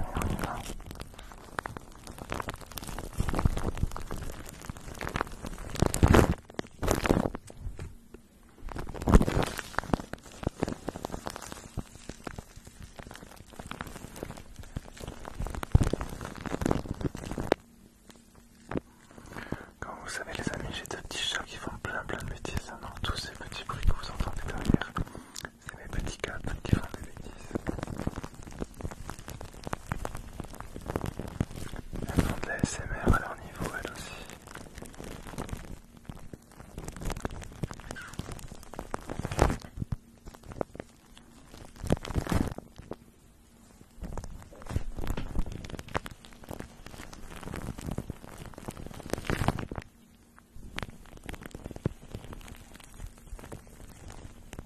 comme vous savez les amis, j'ai deux petits chats qui font plein plein de bêtises. Non, tous ces petits bruits que vous entendez derrière, c'est mes petits gars qui font des bêtises. Elles font la SMR à leur niveau, elles aussi.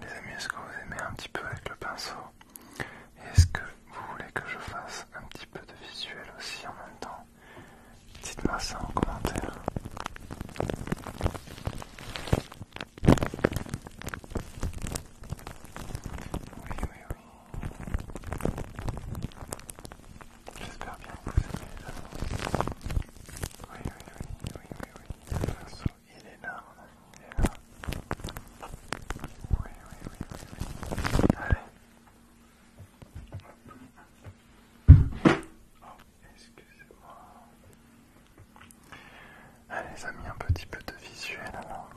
Les amis, est-ce que vous aimez un petit peu avec le pinceau Et est-ce que vous voulez que je fasse un petit peu de visuel aussi en même temps Dites-moi ça en commentaire. Oui, oui, oui. J'espère bien que vous aimez oui, oui, oui, oui, oui, oui. il est là, il est là. Oui, oui, oui, oui, oui. Allez. Oh, excusez-moi. Allez, a mis un petit peu de visuel alors.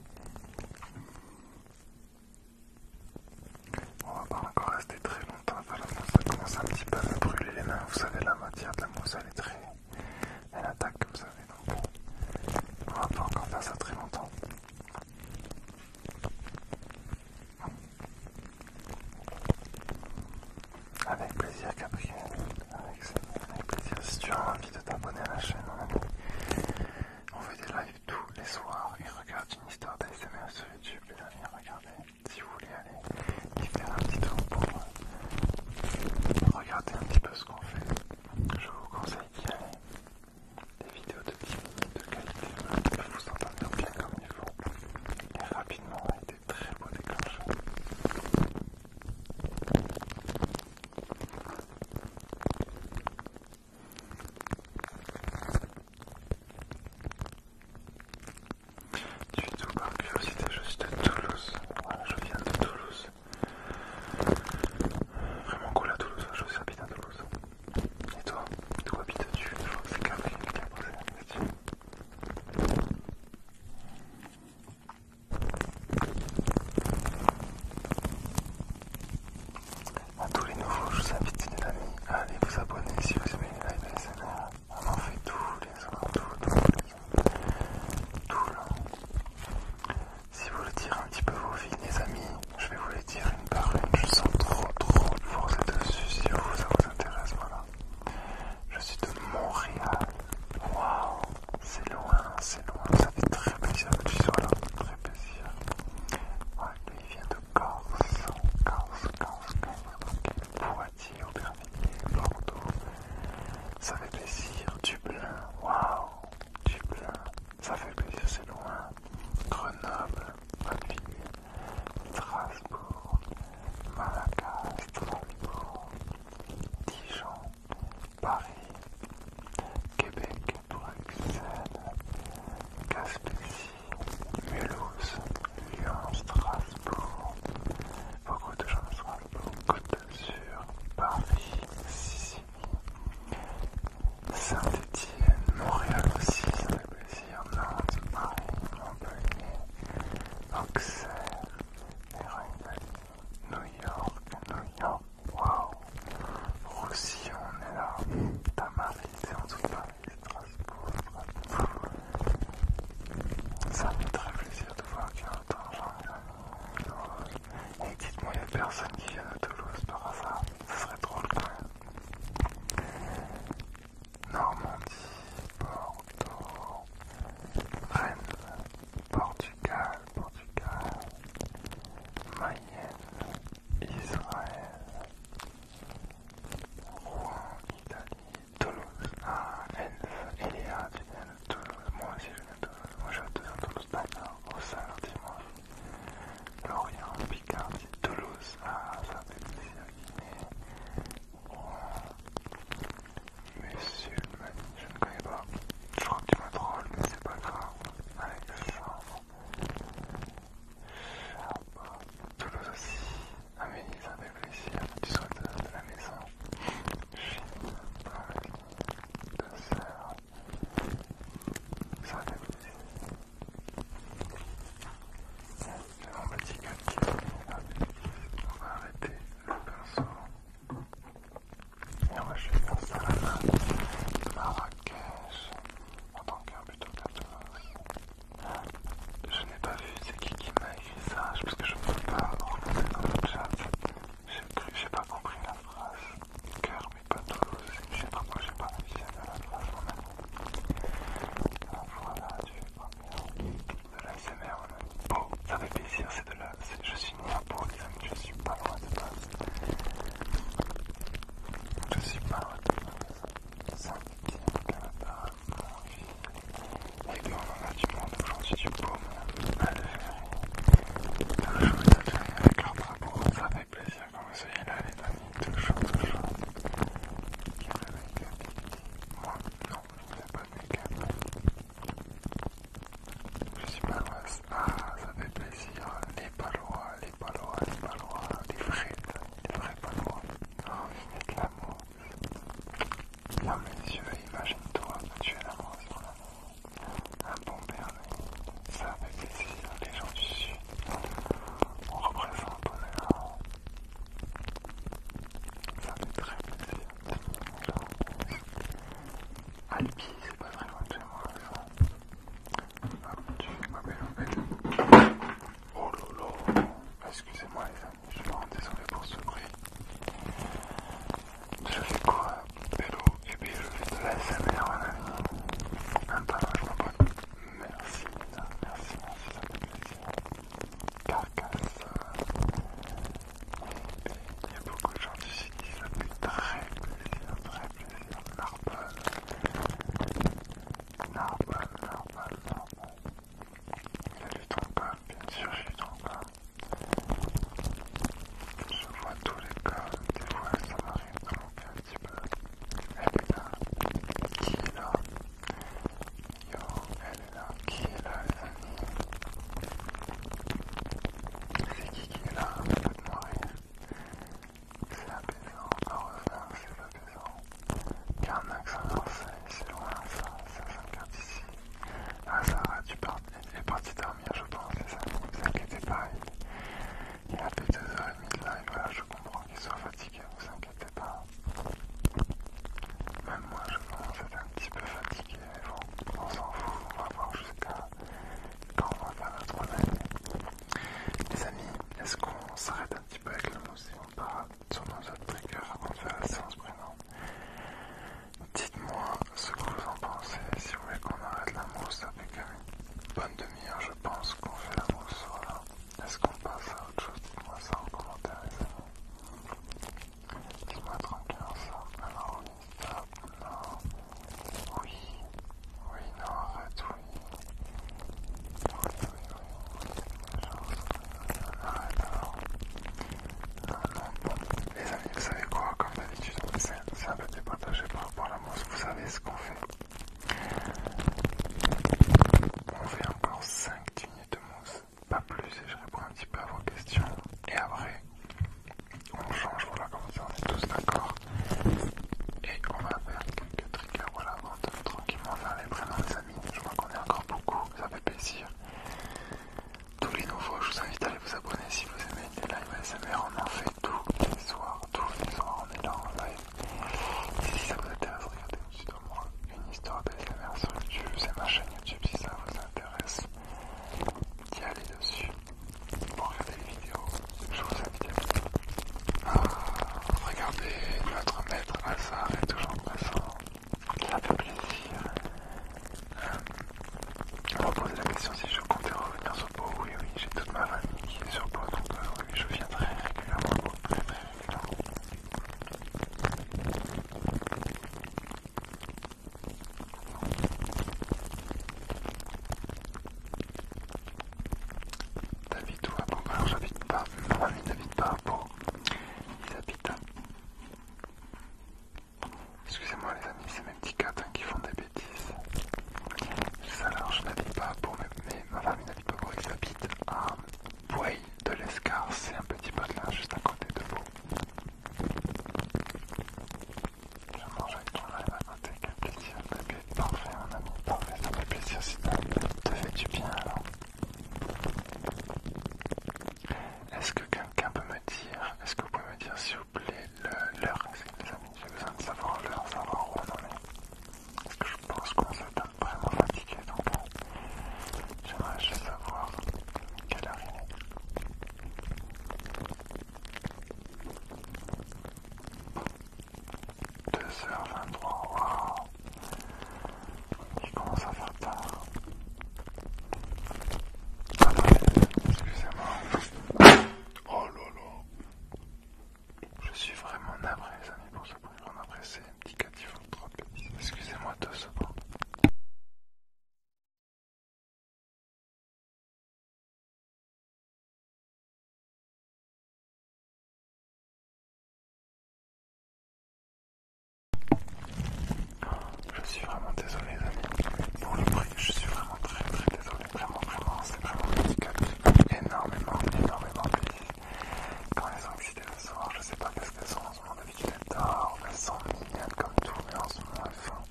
On va pas encore rester très longtemps voilà, ça commence un petit peu à me brûler les mains. Vous savez, la matière de la mousse, elle est très. Elle attaque comme ça, donc on va pas encore faire ça très longtemps. Avec plaisir, Gabriel. Avec, plaisir. Si tu as envie de t'abonner à la chaîne, on fait des lives tous les soirs et regarde une histoire d'ASMR sur YouTube. Les amis, regardez si vous voulez aller y faire un petit tour pour regarder un petit peu ce qu'on fait, je vous conseille d'y aller. Des vidéos de 10 minutes de qualité peuvent vous entendre bien comme il faut et rapidement avec des très beaux déclenches du tout par curiosité, je suis de Toulouse. Voilà, je viens de Toulouse. Vraiment cool à Toulouse, je suis habite à Toulouse. Et toi, d'où habites-tu Je crois que c'est Capri, Capri, c'est à tous les nouveaux, je vous invite, les amis, à aller vous abonner si vous aimez les live on en fait tous les ans, tous, tous les tout Si vous voulez dire un petit peu vos vies, les amis, je vais vous les dire une par une. Je sens trop, trop force dessus si ça vous intéresse. Voilà. Je suis de Montréal. Waouh, c'est loin, c'est loin. Ça fait très plaisir que tu sois là. Très plaisir. Ouais, lui il vient de Corse. Corse, Corse, Corse. Poitiers, Aubervilliers, Bordeaux. Ça fait plaisir. Dublin, waouh, Dublin. Ça fait plaisir, c'est loin. Grenoble, ville. Strasbourg, Malaga, Strasbourg, Dijon, Paris, Québec, Bruxelles, Gaspésie, Mulhouse, Lyon, Strasbourg, beaucoup de gens à Strasbourg, Côte d'Azur, Paris, Sicile, Saint-Étienne, Montréal aussi, ça fait plaisir, Nantes, Paris, Montpellier, Auxerre, les New York, New York, waouh, Roussillon, on est là, Tamaris, c'est en tout cas Strasbourg, ça me fait très plaisir de voir qu'il y a autant de gens Et dites-moi, il a personne qui vient à Toulouse par hasard. Ce serait drôle quand même. Normandie, Bordeaux, Rennes, Portugal, Portugal, Mayenne, Israël, Rouen, Italie. Toulouse. Ah, elle, il tu viens de Toulouse. Moi aussi, je viens de Toulouse. Moi, à Toulouse, d'accord. Au salaire dimanche. Lorient, Picardie, Toulouse. Ah, ça fait plaisir. Guinée. Oh. je ne connais pas. Je crois que tu m'as troll, mais c'est pas grave. Avec le chambre. Toulouse aussi, à Venise avec les ciels du sauteur de la maison, Chine, avec deux sœurs, ça J'ai mon petit cupcake, on va arrêter le pinceau et on va juste installer la main de Marrakech en tant qu'un plutôt de Toulouse. Je n'ai pas vu c'est qui qui m'a écrit ça, parce que je ne peux pas regarder dans le chat. J'ai pas compris la phrase. Cœur, mais pas Toulouse. Je sais pas, moi j'ai pas réussi à de la phrase en ah, Voilà, tu fais pas bien. De l'ASMR, on a Oh, Ça fait plaisir, c'est de la. Je suis né à les amis, je suis pas loin de base. Je suis pas loin de base. 5 km part on a du monde aujourd'hui du baume à avec leur ça fait plaisir quand vous là les amis. toujours toujours. Moi, non, je ne pas de Je suis Ah, ça fait plaisir. Les palois, les palois, les palois, les vrais, les vrais palois. Oh, l'amour. Ferme messieurs imagine-toi tu es l'amour sans Un bon bernet, ça fait plaisir, les gens du Sud. On représente ton là. Ça fait très plaisir, Alpi, c'est pas très loin de chez moi, ça. tu fais ma belle, ma Oh lolo, excusez-moi les amis je suis vraiment désolé pour ce bruit. Je fais quoi Vélo et puis je fais de la SMR mon Même pas Je je m'abonne. Merci, merci, merci, ça fait plaisir. Carcasse. Il y a beaucoup de gens sud qui ça fait très plaisir, très plaisir. Narbonne. Narbonne, Narbonne, Narbonne. Elle est ton corps, bien sûr, j'ai ton corps. Je vois tous les corps, des fois ça m'arrive dans mon un petit peu. Elle est là, qui est là Yo, elle est là, qui est là les amis C'est qui qui est là ah, C'est pas de rien. C'est apaisant, au revoir, c'est apaisant. Karnak-Saint-Marcel, c'est loin ça, 5 s'inquiète d'ici. Ah Sarah, tu es parti dormir je pense, les amis, vous inquiétez pas, il, y a plus deux heures et demie de live, voilà je comprends qu'il soit fatigué, vous inquiétez pas. Même moi je pense être un petit peu fatigué, mais bon, on s'en fout, on va voir jusqu'à quand on va faire notre live. Les amis, est-ce qu'on s'arrête un petit peu avec le s'empara sur nos autres triggers avant de faire la séance brûlante. Dites-moi ce que vous en pensez, si vous voulez qu'on arrête la mousse avec une bonne demi-heure, je pense qu'on fait la mousse, voilà. Est-ce qu'on passe à autre chose Dites-moi ça en commentaire, les Dites-moi tranquille ça. Alors, oui, ça, non, oui, oui, non, arrête, oui, les amis, vous savez quoi Comme d'habitude, c'est un peu départagé par rapport à la mousse. Vous savez ce qu'on fait On fait encore 5 tignes de mousse, pas plus, et je réponds un petit peu à vos questions. Et après, on change, voilà, comme ça, on est tous d'accord. Et on va faire quelques triggers, voilà, on va tranquillement faire les prénoms, les amis. Je vois qu'on est encore beaucoup, ça fait plaisir tous les nouveaux. Je vous invite à aller vous abonner si vous aimez les lives ASMR. On en fait tous les soirs, tous les soirs on est là en live. si ça vous intéresse, regardez au-dessus de moi une histoire d'ASMR sur YouTube. C'est ma chaîne YouTube si ça vous intéresse d'y aller dessus pour regarder les vidéos. Je vous invite à ah, regarder. notre maître Hazard est toujours présent ça fait plaisir. On me poser la question si je comptais revenir sur Pau. Oui, oui, j'ai toute ma famille qui est sur Pau, donc euh, oui, je viens très régulièrement. Très, très régulièrement. David ou à Pau Alors, j'habite pas. Ma famille n'habite pas à Pau. Ils habitent Excusez-moi les amis, c'est mes petits catins hein, qui font des bêtises. Alors je n'habite pas pour mes, mais ma famille n'habite pas pour ils habitent à Boueil de l'Escarce. c'est un petit là juste à côté de vous. Je mange avec toi là, à un quel plaisir, parfait mon ami, parfait, ça fait plaisir si ça te fais du bien alors. Est-ce que quelqu'un peut me dire, est-ce que vous pouvez me dire s'il vous plaît l'heure, les amis, j'ai besoin de savoir l'heure, savoir où on en est. que je pense qu'on se tape vraiment fatigué, donc euh, j'aimerais juste savoir quelle heure il est. 2h23, il commence à faire tard. Ah excusez-moi. Oh là Je suis vraiment navré, les amis, pour ce bruit. On apprécie un petit catif trop Excusez-moi deux secondes. Je suis vraiment désolé les amis pour le bruit, je suis vraiment très très désolé, vraiment vraiment, c'est vraiment ridicule, handicap énormément, énormément petit. Quand elles sont excitées le soir, je sais pas qu'est-ce qu'elles sont en ce moment, d'habitude elles dorment, elles sont mignonnes comme tout, mais en ce moment elles font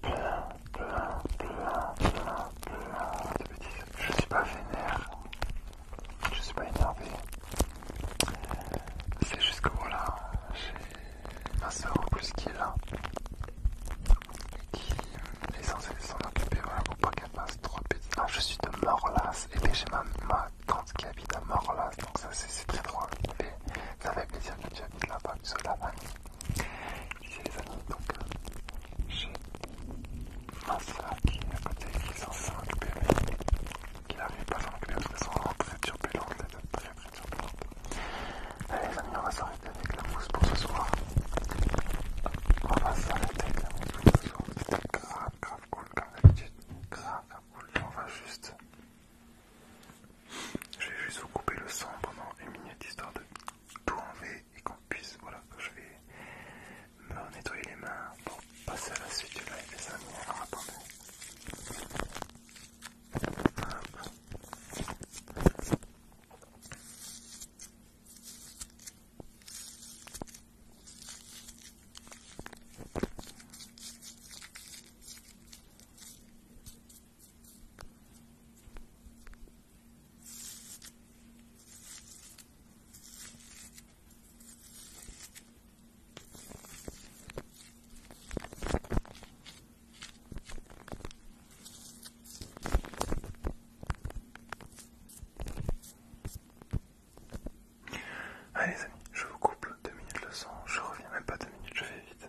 pleins, pleins, pleins, pleins, plein de bêtises. Je suis pas vénère, je suis pas énervé. C'est juste que voilà, j'ai ma soeur en plus qui est là, qui est censée s'en occuper, voilà, pour pas qu'elle passe trop petit. Ah, je suis de Morlas, et j'ai ma, tante qui habite à Morlas, donc ça c'est très drôle. Mais ça fait plaisir que tu habites là-bas, que tu la C'est les amis, donc euh, j'ai il est à côté qui s'en sent bébé qui n'arrive pas à s'en occuper parce qu'elles sont vraiment très turbulentes, très très turbulentes. Allez les amis, on va s'arrêter avec la mousse pour ce soir. On va s'arrêter avec la mousse pour ce soir. C'était grave grave cool comme d'habitude. Grave grave cool. on va juste... Je vais juste vous couper le son pendant une minute histoire de tout enlever et qu'on puisse... Voilà, je vais me nettoyer les mains pour passer à la suite des amis. Allez les amis, je vous coupe deux minutes le son, je reviens même pas deux minutes, je vais vite.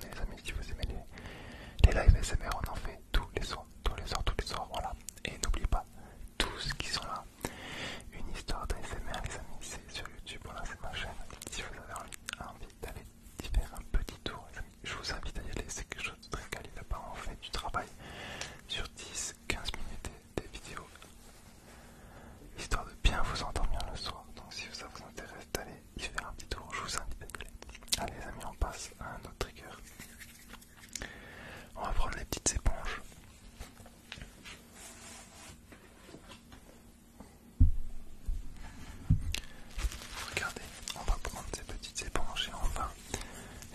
les amis si vous aimez les, les lives SMR, on en fait tous les soirs, tous les soirs, tous les soirs, voilà. Et n'oubliez pas, tous qui sont là, une histoire d'ASMR les amis, c'est sur YouTube, voilà c'est ma chaîne. Si vous avez envie, d'aller y faire un petit tour je vous invite à y aller, c'est quelque chose de très quali on fait du travail sur 10-15 minutes des, vidéos histoire de bien vous endormir le soir donc si ça vous intéresse d'aller il fait un petit tour, je vous invite Allez les amis, on passe à un autre trigger. On va prendre les petites éponges. Regardez, on va prendre ces petites éponges et on va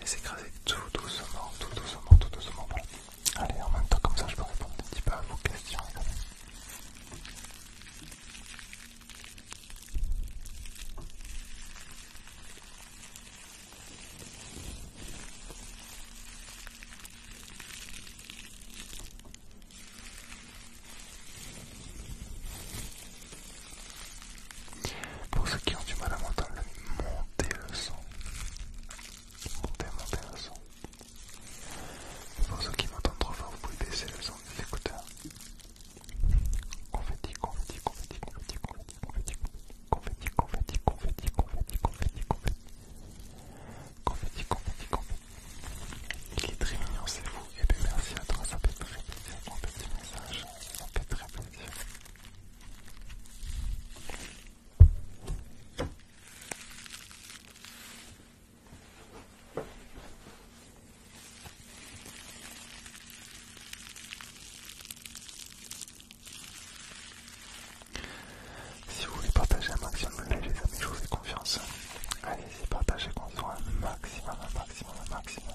les écraser tout doucement, tout doucement, tout doucement. Allez, en même temps, comme ça, je peux répondre un petit peu à vos questions. Pour ceux qui é ont du mal à m'entendre, monter le son. Montez, montez le Pour ceux qui m'entendent trop fort, vous pouvez baisser le son des écouteurs. Confetti, confetti, confetti, confetti, confetti, confetti, confetti, confetti, confetti, confetti, confetti, confetti. Confetti, très mignon, c'est vous. merci fait petit message, si vous voulez partager un maximum de les amis, je vous fais confiance. Allez-y, partagez qu'on soit un maximum, un maximum, un maximum.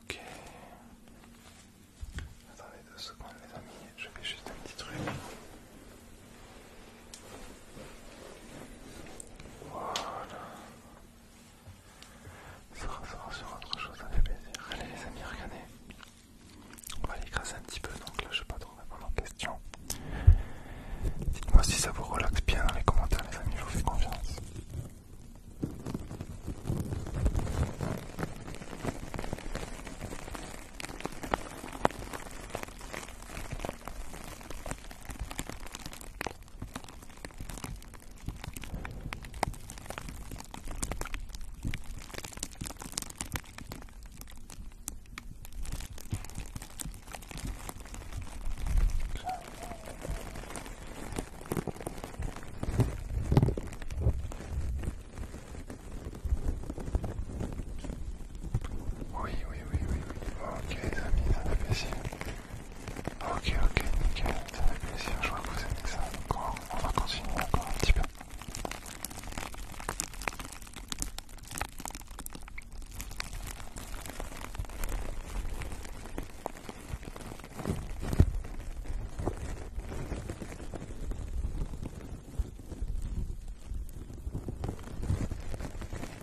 Ok. Attendez deux secondes les amis, je vais juste un petit truc. Ça ressort sur autre chose, ça fait plaisir. Allez les amis, regardez. On va les crasser un petit peu, donc là je sais pas trop répondre aux questions. Dites-moi si ça vous relaxe bien dans les commentaires les amis, je vous fais confiance. Oui, oui, oui, oui. Ok, Ok, ok, nickel, ça fait plaisir, je vois que vous aimez ça. donc on va continuer encore un petit peu. Le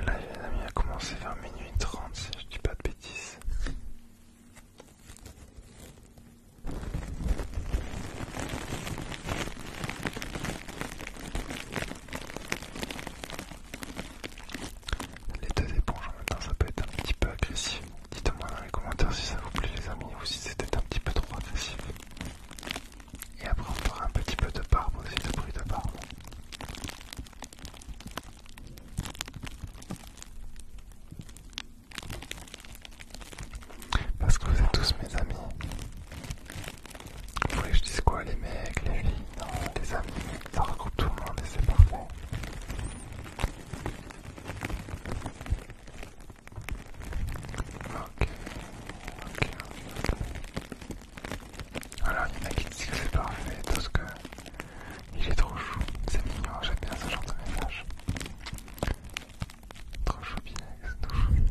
live, les amis, a commencé vers minuit 30, si je dis pas de bêtises. Les deux éponges en ça peut être un petit peu agressif. Dites-moi dans les commentaires si ça vous plaît, les amis, ou si c'était un petit peu trop agressif. Et après, on fera un petit peu de barbe aussi, de bruit de barbe. Parce que vous êtes tous mes amis. Vous voulez que je dise quoi Les mecs, les filles, non, les amis, ça regroupe tout le monde et c'est parfait. Ok, ok, Alors il y en a qui disent que c'est parfait, parce que il est trop chou, c'est mignon, j'aime bien ce genre de message. Trop choupinex, trop choupi.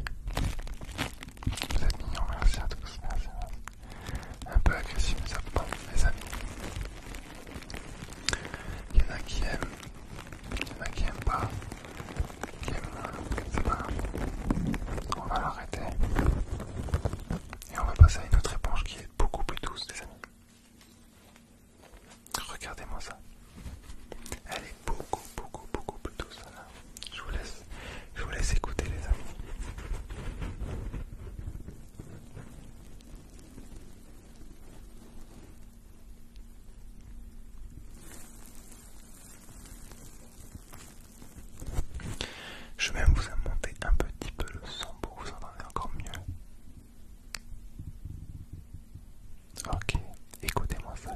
Vous êtes mignons, merci à tous, merci, Un peu agressif, mais ça prend, les amis. Il y en a qui aiment, il y en a qui aiment pas, qui aiment pas On va l'arrêter. Et on va passer à une autre éponge qui est beaucoup plus douce, les amis. Regardez-moi ça. Elle est beaucoup, beaucoup, beaucoup plus douce. Là. Je, vous laisse, je vous laisse écouter les amis. Je vais même vous monter un petit peu le son pour vous entendre encore mieux. Ok, écoutez-moi ça.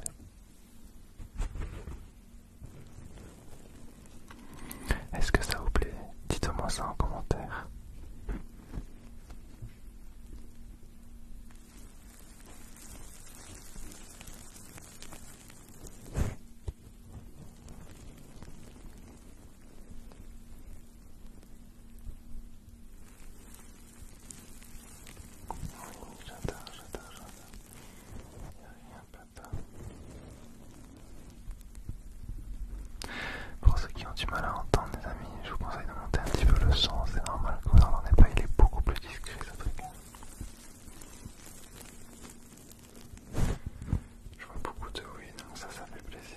Est-ce que ça vous plaît Dites-moi ça en commentaire. Pour ceux qui ont du mal à entendre, les amis, je vous conseille de monter un petit peu le son. C'est normal que vous pas, il est beaucoup plus discret ce truc. Je vois beaucoup de oui, donc hein, ça, ça fait plaisir.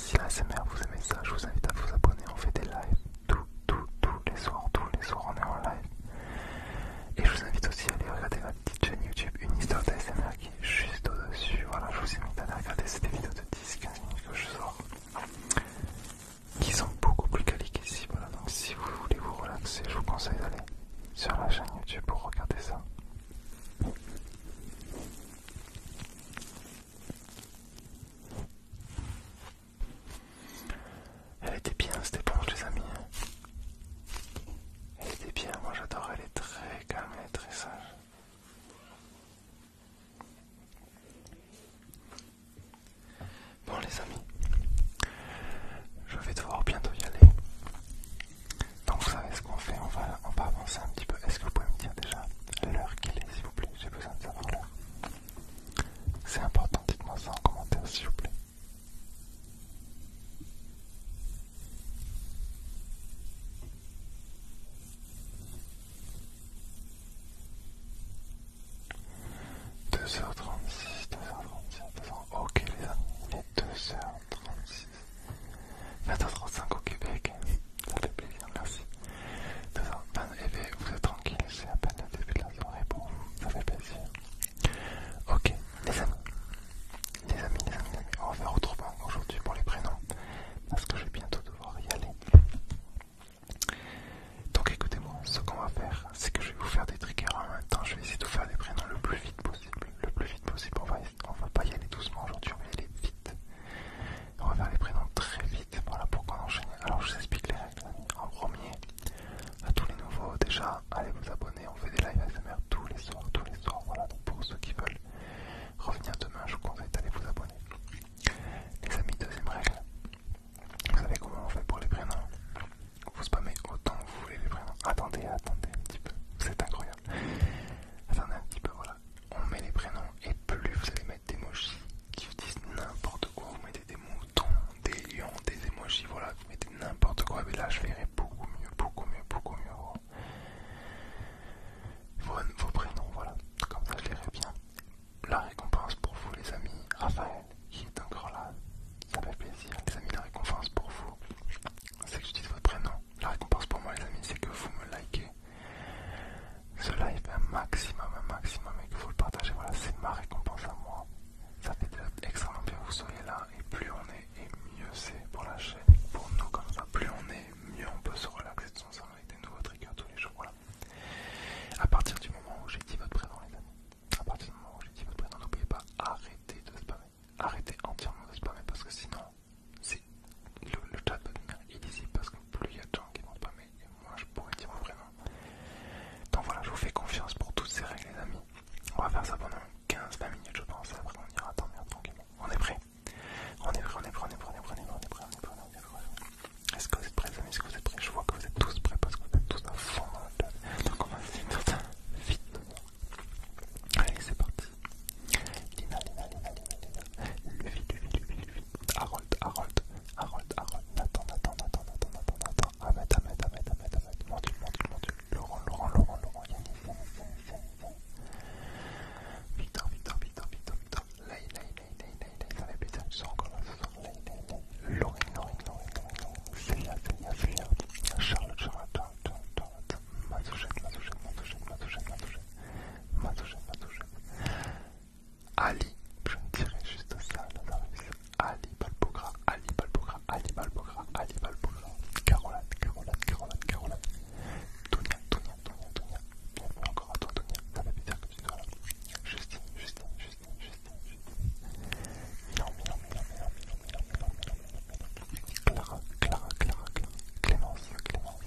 si la SMR vous aimez ça, je vous invite à vous abonner. On fait des lives tous, tous les soirs, tous les soirs, on est en live. Et je vous invite aussi à aller regarder ma petite chaîne YouTube, une histoire d'ASMR qui est juste au-dessus. Voilà, je vous invite à aller regarder des vidéos de 10-15 minutes que je sors, qui sont beaucoup plus caliques ici. Voilà, donc si vous voulez vous relaxer, je vous conseille d'aller sur la chaîne YouTube pour regarder ça. Elle était bien cette éponge les amis. Elle était bien, moi j'adore, elle est très calme, et très sage. Bon les amis, je vais devoir bientôt y aller. Donc vous savez ce qu'on fait, on va, on va avancer un petit peu. Est-ce que vous pouvez me dire déjà l'heure qu'il est s'il vous plaît j'ai besoin de savoir l'heure. C'est important, dites-moi ça en commentaire, s'il vous plaît. 2h36, 2h36, 2 h Ok les amis, il est 2h36. 19h35 au Québec. Ça fait plaisir, merci. Eh vous êtes tranquille, c'est à peine le début de la soirée bon, Ça fait plaisir. Ok, les amis. Les amis, les amis, on va faire autrement aujourd'hui pour les prénoms. Parce que je vais bientôt devoir y aller. Donc écoutez-moi, ce qu'on va faire, c'est que je vais vous faire des triggers en même temps. Je vais essayer de vous faire des prénoms le plus vite possible. Le plus vite possible, on va, on va pas y aller doucement aujourd'hui, on va y aller vite. On va faire les prénoms très vite. Et voilà pourquoi on enchaîne. Alors je vous explique les règles. En premier, à tous les nouveaux, déjà, allez vous abonner, on fait des lives ASMR tous les soirs, tous les soirs, voilà, donc pour ceux qui veulent revenir demain, je vous conseille d'aller vous abonner. Les amis, deuxième règle, vous savez comment on fait pour les prénoms Vous spammez autant que vous voulez les prénoms. Attendez, attendez un petit peu, c'est incroyable. Attendez un petit peu, voilà on met les prénoms et plus vous allez mettre d'émojis qui vous disent n'importe quoi. Vous mettez des moutons, des lions, des émojis, voilà, vous mettez n'importe quoi. Mais là, je verrai beaucoup mieux, beaucoup mieux, beaucoup mieux oh. vos, prénoms, voilà. Comme ça, je verrai bien. La récompense pour vous, les amis. Raphaël, qui est encore là, ça fait plaisir. Les amis, la récompense pour vous, c'est que je dise votre prénom. La récompense pour moi, les amis, c'est que vous me likez ce live un maximum, un maximum et qu'il faut le partager, Voilà, c'est ma récompense à moi. Ça fait extrêmement bien que vous soyez là et plus on est et mieux c'est pour la chaîne pour nous comme ça. Plus on est, mieux on peut se relaxer de son sens avec des nouveaux triggers tous les jours. Voilà. À partir du moment où j'ai dit votre présent, les amis, à partir du moment où j'ai dit votre prénom, n'oubliez pas arrêter de spammer. Arrêtez entièrement de spammer parce que sinon le, chat peut devenir illisible parce que plus il y a de gens qui vont pas, mais moi je pourrais dire vraiment. Donc voilà, je vous fais confiance pour toutes ces règles, les amis. On va faire ça pendant 15-20 minutes, je pense. Après, on ira attendre. tranquillement. On est prêt On est prêt, on est prêt, on est prêt, on est prêt, on est prêt, on est prêt, on est prêt. Est-ce que vous êtes prêts, les amis Est-ce que vous êtes prêts Je vois que vous êtes tous prêts parce que vous êtes tous à fond dans le chat. Donc on va essayer de faire ça vite. Allez, c'est parti. Lina, Lina, Lina, Lina, Lina. Levi, Levi, Levi, Levi. Harold, Harold, Harold, Harold, Nathan, Nathan, Nathan, Nathan, Nathan, Nathan, Ahmed, Ahmed, Ahmed, Ahmed, Ahmed, mon Laurent, Laurent, Laurent, Laurent, Yannis, Victor, Victor, Victor, Victor, Victor, Lay, Lay, Lay, Lay, Lay, Lay, ça fait plaisir, Laurine, Laurine, Laurine, Charlotte, Charlotte, Charlotte, Charlotte, Ali, je me dirais juste ça, Ali Balbogra, Ali Balbogra, Ali Balbogra, Ali Balbogra. Caroline, Caroline, Caroline, Caroline. Tonia, Tonia, Tonia, Tonia. encore à toi, Tonia. Ça fait plaisir que tu sois là. Justine, Clara, Clara, Clémence,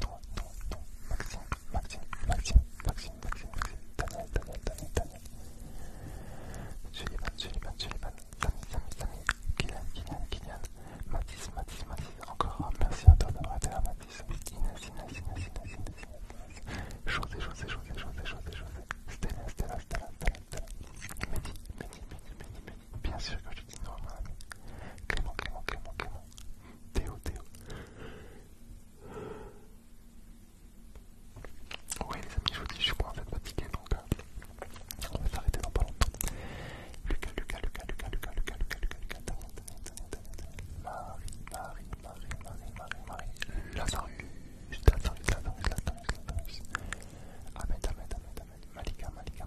non, non, non, Maxime, Maxime, Maxime, Maxime, Maxime, Maxime, Daniel, Daniel, Sullivan, Maxime, Maxime, Mathis, encore un merci à toi Maxime, Maxime, Maxime, Mathis, Inès, Stella, bien sûr que je dis normalement Maxime, Théo, Théo. Ouais les amis, je vous dis, je suis en fait fatigué, donc on va s'arrêter dans pas longtemps. Lucas, Lucas, Lucas, Lucas, Lucas, Lucas, Lucas, Lucas, Marie, Marie, Marie, Marie, Lazarus, Lazarus, Malika, Malika,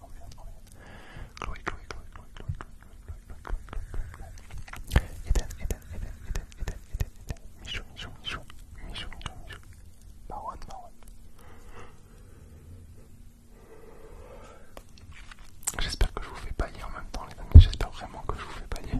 on J'espère que je vous fais bailler en même temps les j'espère vraiment que je vous fais bailler.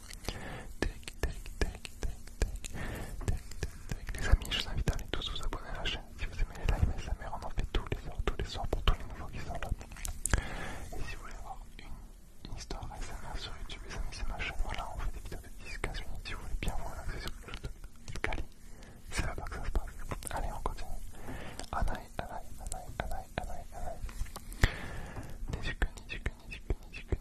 Tac, tac, tac, tac, tac, tac, tac. Les amis, je vous invite à aller tous vous abonner à la chaîne si vous aimez les lives ASMR. On en fait tous les soirs, tous les soirs pour tous les nouveaux qui sont là. Et si vous voulez avoir une, histoire ASMR sur YouTube, les amis, c'est ma chaîne. Voilà, on fait des vidéos de 10-15 minutes si vous voulez bien vous relaxer sur quelque chose de quali. C'est là-bas que ça se passe. Allez, on continue. Anaï, Anaï, Anaï, Anaï, Anaï, Anaï. Nizuku, Nizuku, Nizuku, Nizuku,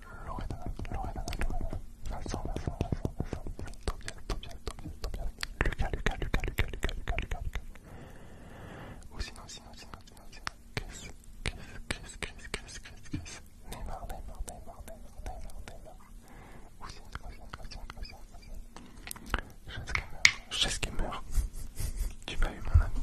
Loredana, Loredana, Lorena, Vincent, Vincent, Vincent, Vincent. Lucas, Lucas, Lucas, Lucas, Lucas, Lucas, Lucas, Lucas. Ou Chris, Chris, Chris, Chris, Chris, Chris, Chris. Neymar, Neymar, Neymar, Neymar, Neymar, Neymar. qui meurt, Tu m'as eu, mon ami.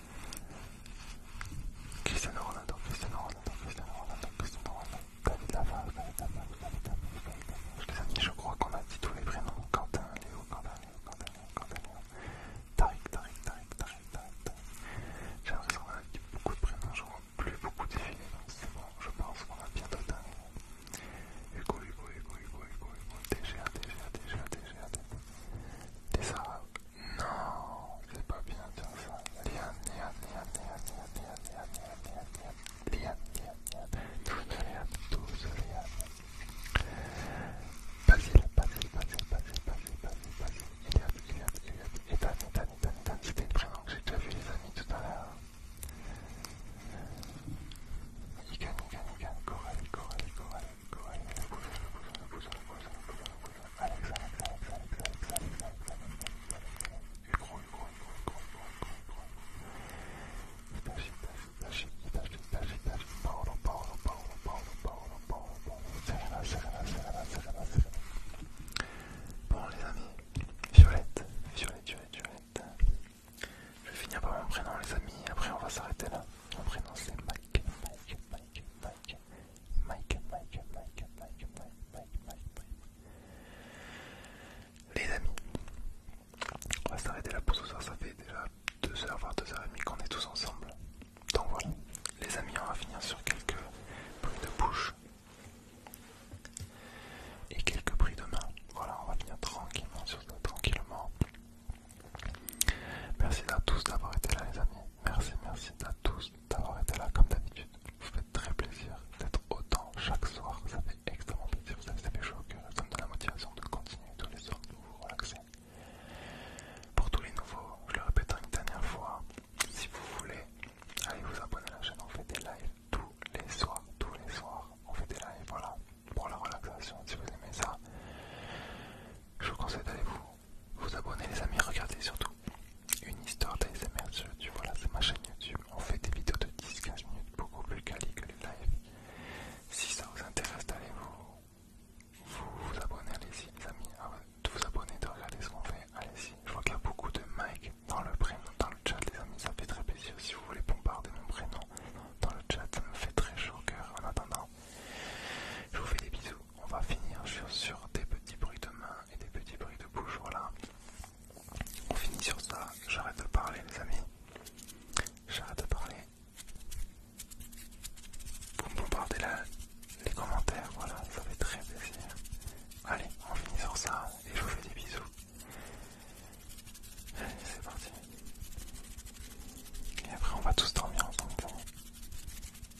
Christiane Ronaldo, David David je crois qu'on a dit tous les prénoms. Léo, J'ai qu'on a dit beaucoup de prénoms, je vois plus beaucoup je pense qu'on a bientôt Hugo, non, c'est pas bien de Basile, Basil, Basil, Basil. y Ethan, Ethan, le prénom que j'ai déjà vu les amis tout à l'heure. Ikan, Ikan, Ikan. Coral, Coral, Bon les amis, Violette, Violette, Violette, Violette. Je vais finir par mon prénom les amis, après on va s'arrêter là. Mon prénom c'est Mike, Mike, Mike, Mike, Mike, Mike, Mike, Mike, Mike. Les amis, on va s'arrêter là pour ce soir, ça fait déjà 2h voire 2h30 qu'on est tous ensemble. Donc voilà, les amis, on va finir sur quelques bruits de bouche et quelques bruits de main. Voilà, on va finir tranquillement sur ça, tranquillement. Merci à tous d'avoir été là les amis. Merci, merci à tous d'avoir été là comme d'habitude. Vous faites très plaisir d'être autant chaque soir. Ça fait extrêmement plaisir. Ça fait chaud au cœur. Ça me donne la motivation de continuer tous les soirs de vous relaxer. Pour tous les nouveaux, je le répète une dernière fois. Si vous voulez, allez vous abonner à la chaîne. On fait des lives tous les soirs. Tous les soirs, on fait des lives. Voilà. Pour la relaxation, si vous aimez ça, je vous conseille d'aller vous vous abonner les amis, regardez surtout une histoire d'ASMR sur tu voilà c'est ma chaîne YouTube, on fait des vidéos de 10-15 minutes beaucoup plus quali que les lives. Si ça vous intéresse allez vous, vous, abonner, allez-y les amis, ah de vous abonner, de regarder ce qu'on fait, allez-y. Je vois qu'il y a beaucoup de Mike dans le prénom, dans le chat les amis, ça fait très plaisir si vous voulez bombarder mon prénom dans le chat, ça me fait très chaud au cœur en attendant. Je vous fais des bisous, on va finir sur, des petits bruits de mains et des petits bruits de bouche. Voilà, on finit sur ça. J'arrête de parler, les amis. J'arrête de parler. Vous me bombardez là les commentaires. Voilà, ça fait très plaisir. Allez, on finit sur ça et je vous fais des bisous. Allez, c'est parti. Et après, on va tous dormir ensemble.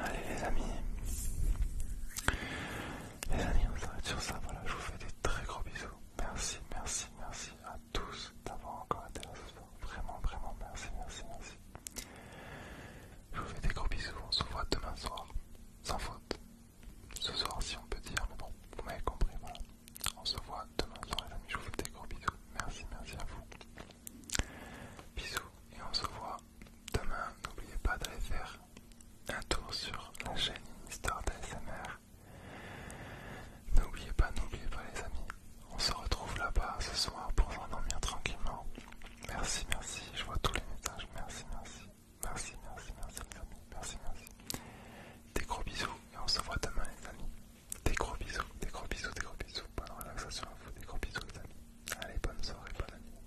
Allez les amis, les amis, on s'arrête sur ça. Voilà, je vous fais des très gros bisous. Merci, merci, merci à tous d'avoir encore été là ce soir. Vraiment, vraiment, merci, merci, merci. Je vous fais des gros bisous. On se voit demain soir, sans faute. Ce soir, si on peut dire, mais bon, vous m'avez compris, voilà. On se voit demain soir, les amis. Je vous fais des gros bisous. Merci, merci à vous. Bisous, et on se voit demain. N'oubliez pas d'aller faire un tour sur la chaîne Mister d'ASMR. N'oubliez pas, n'oubliez pas les amis. On se retrouve là-bas ce soir pour s'endormir tranquillement. Merci, merci. Je vois tous les messages. Merci, merci. Merci, merci, merci les amis. Merci, merci. Des gros bisous et on se voit demain les amis. Des gros bisous, des gros bisous, des gros bisous. Bonne relaxation à vous. Des gros bisous les amis. Allez, bonne soirée, bonne amie.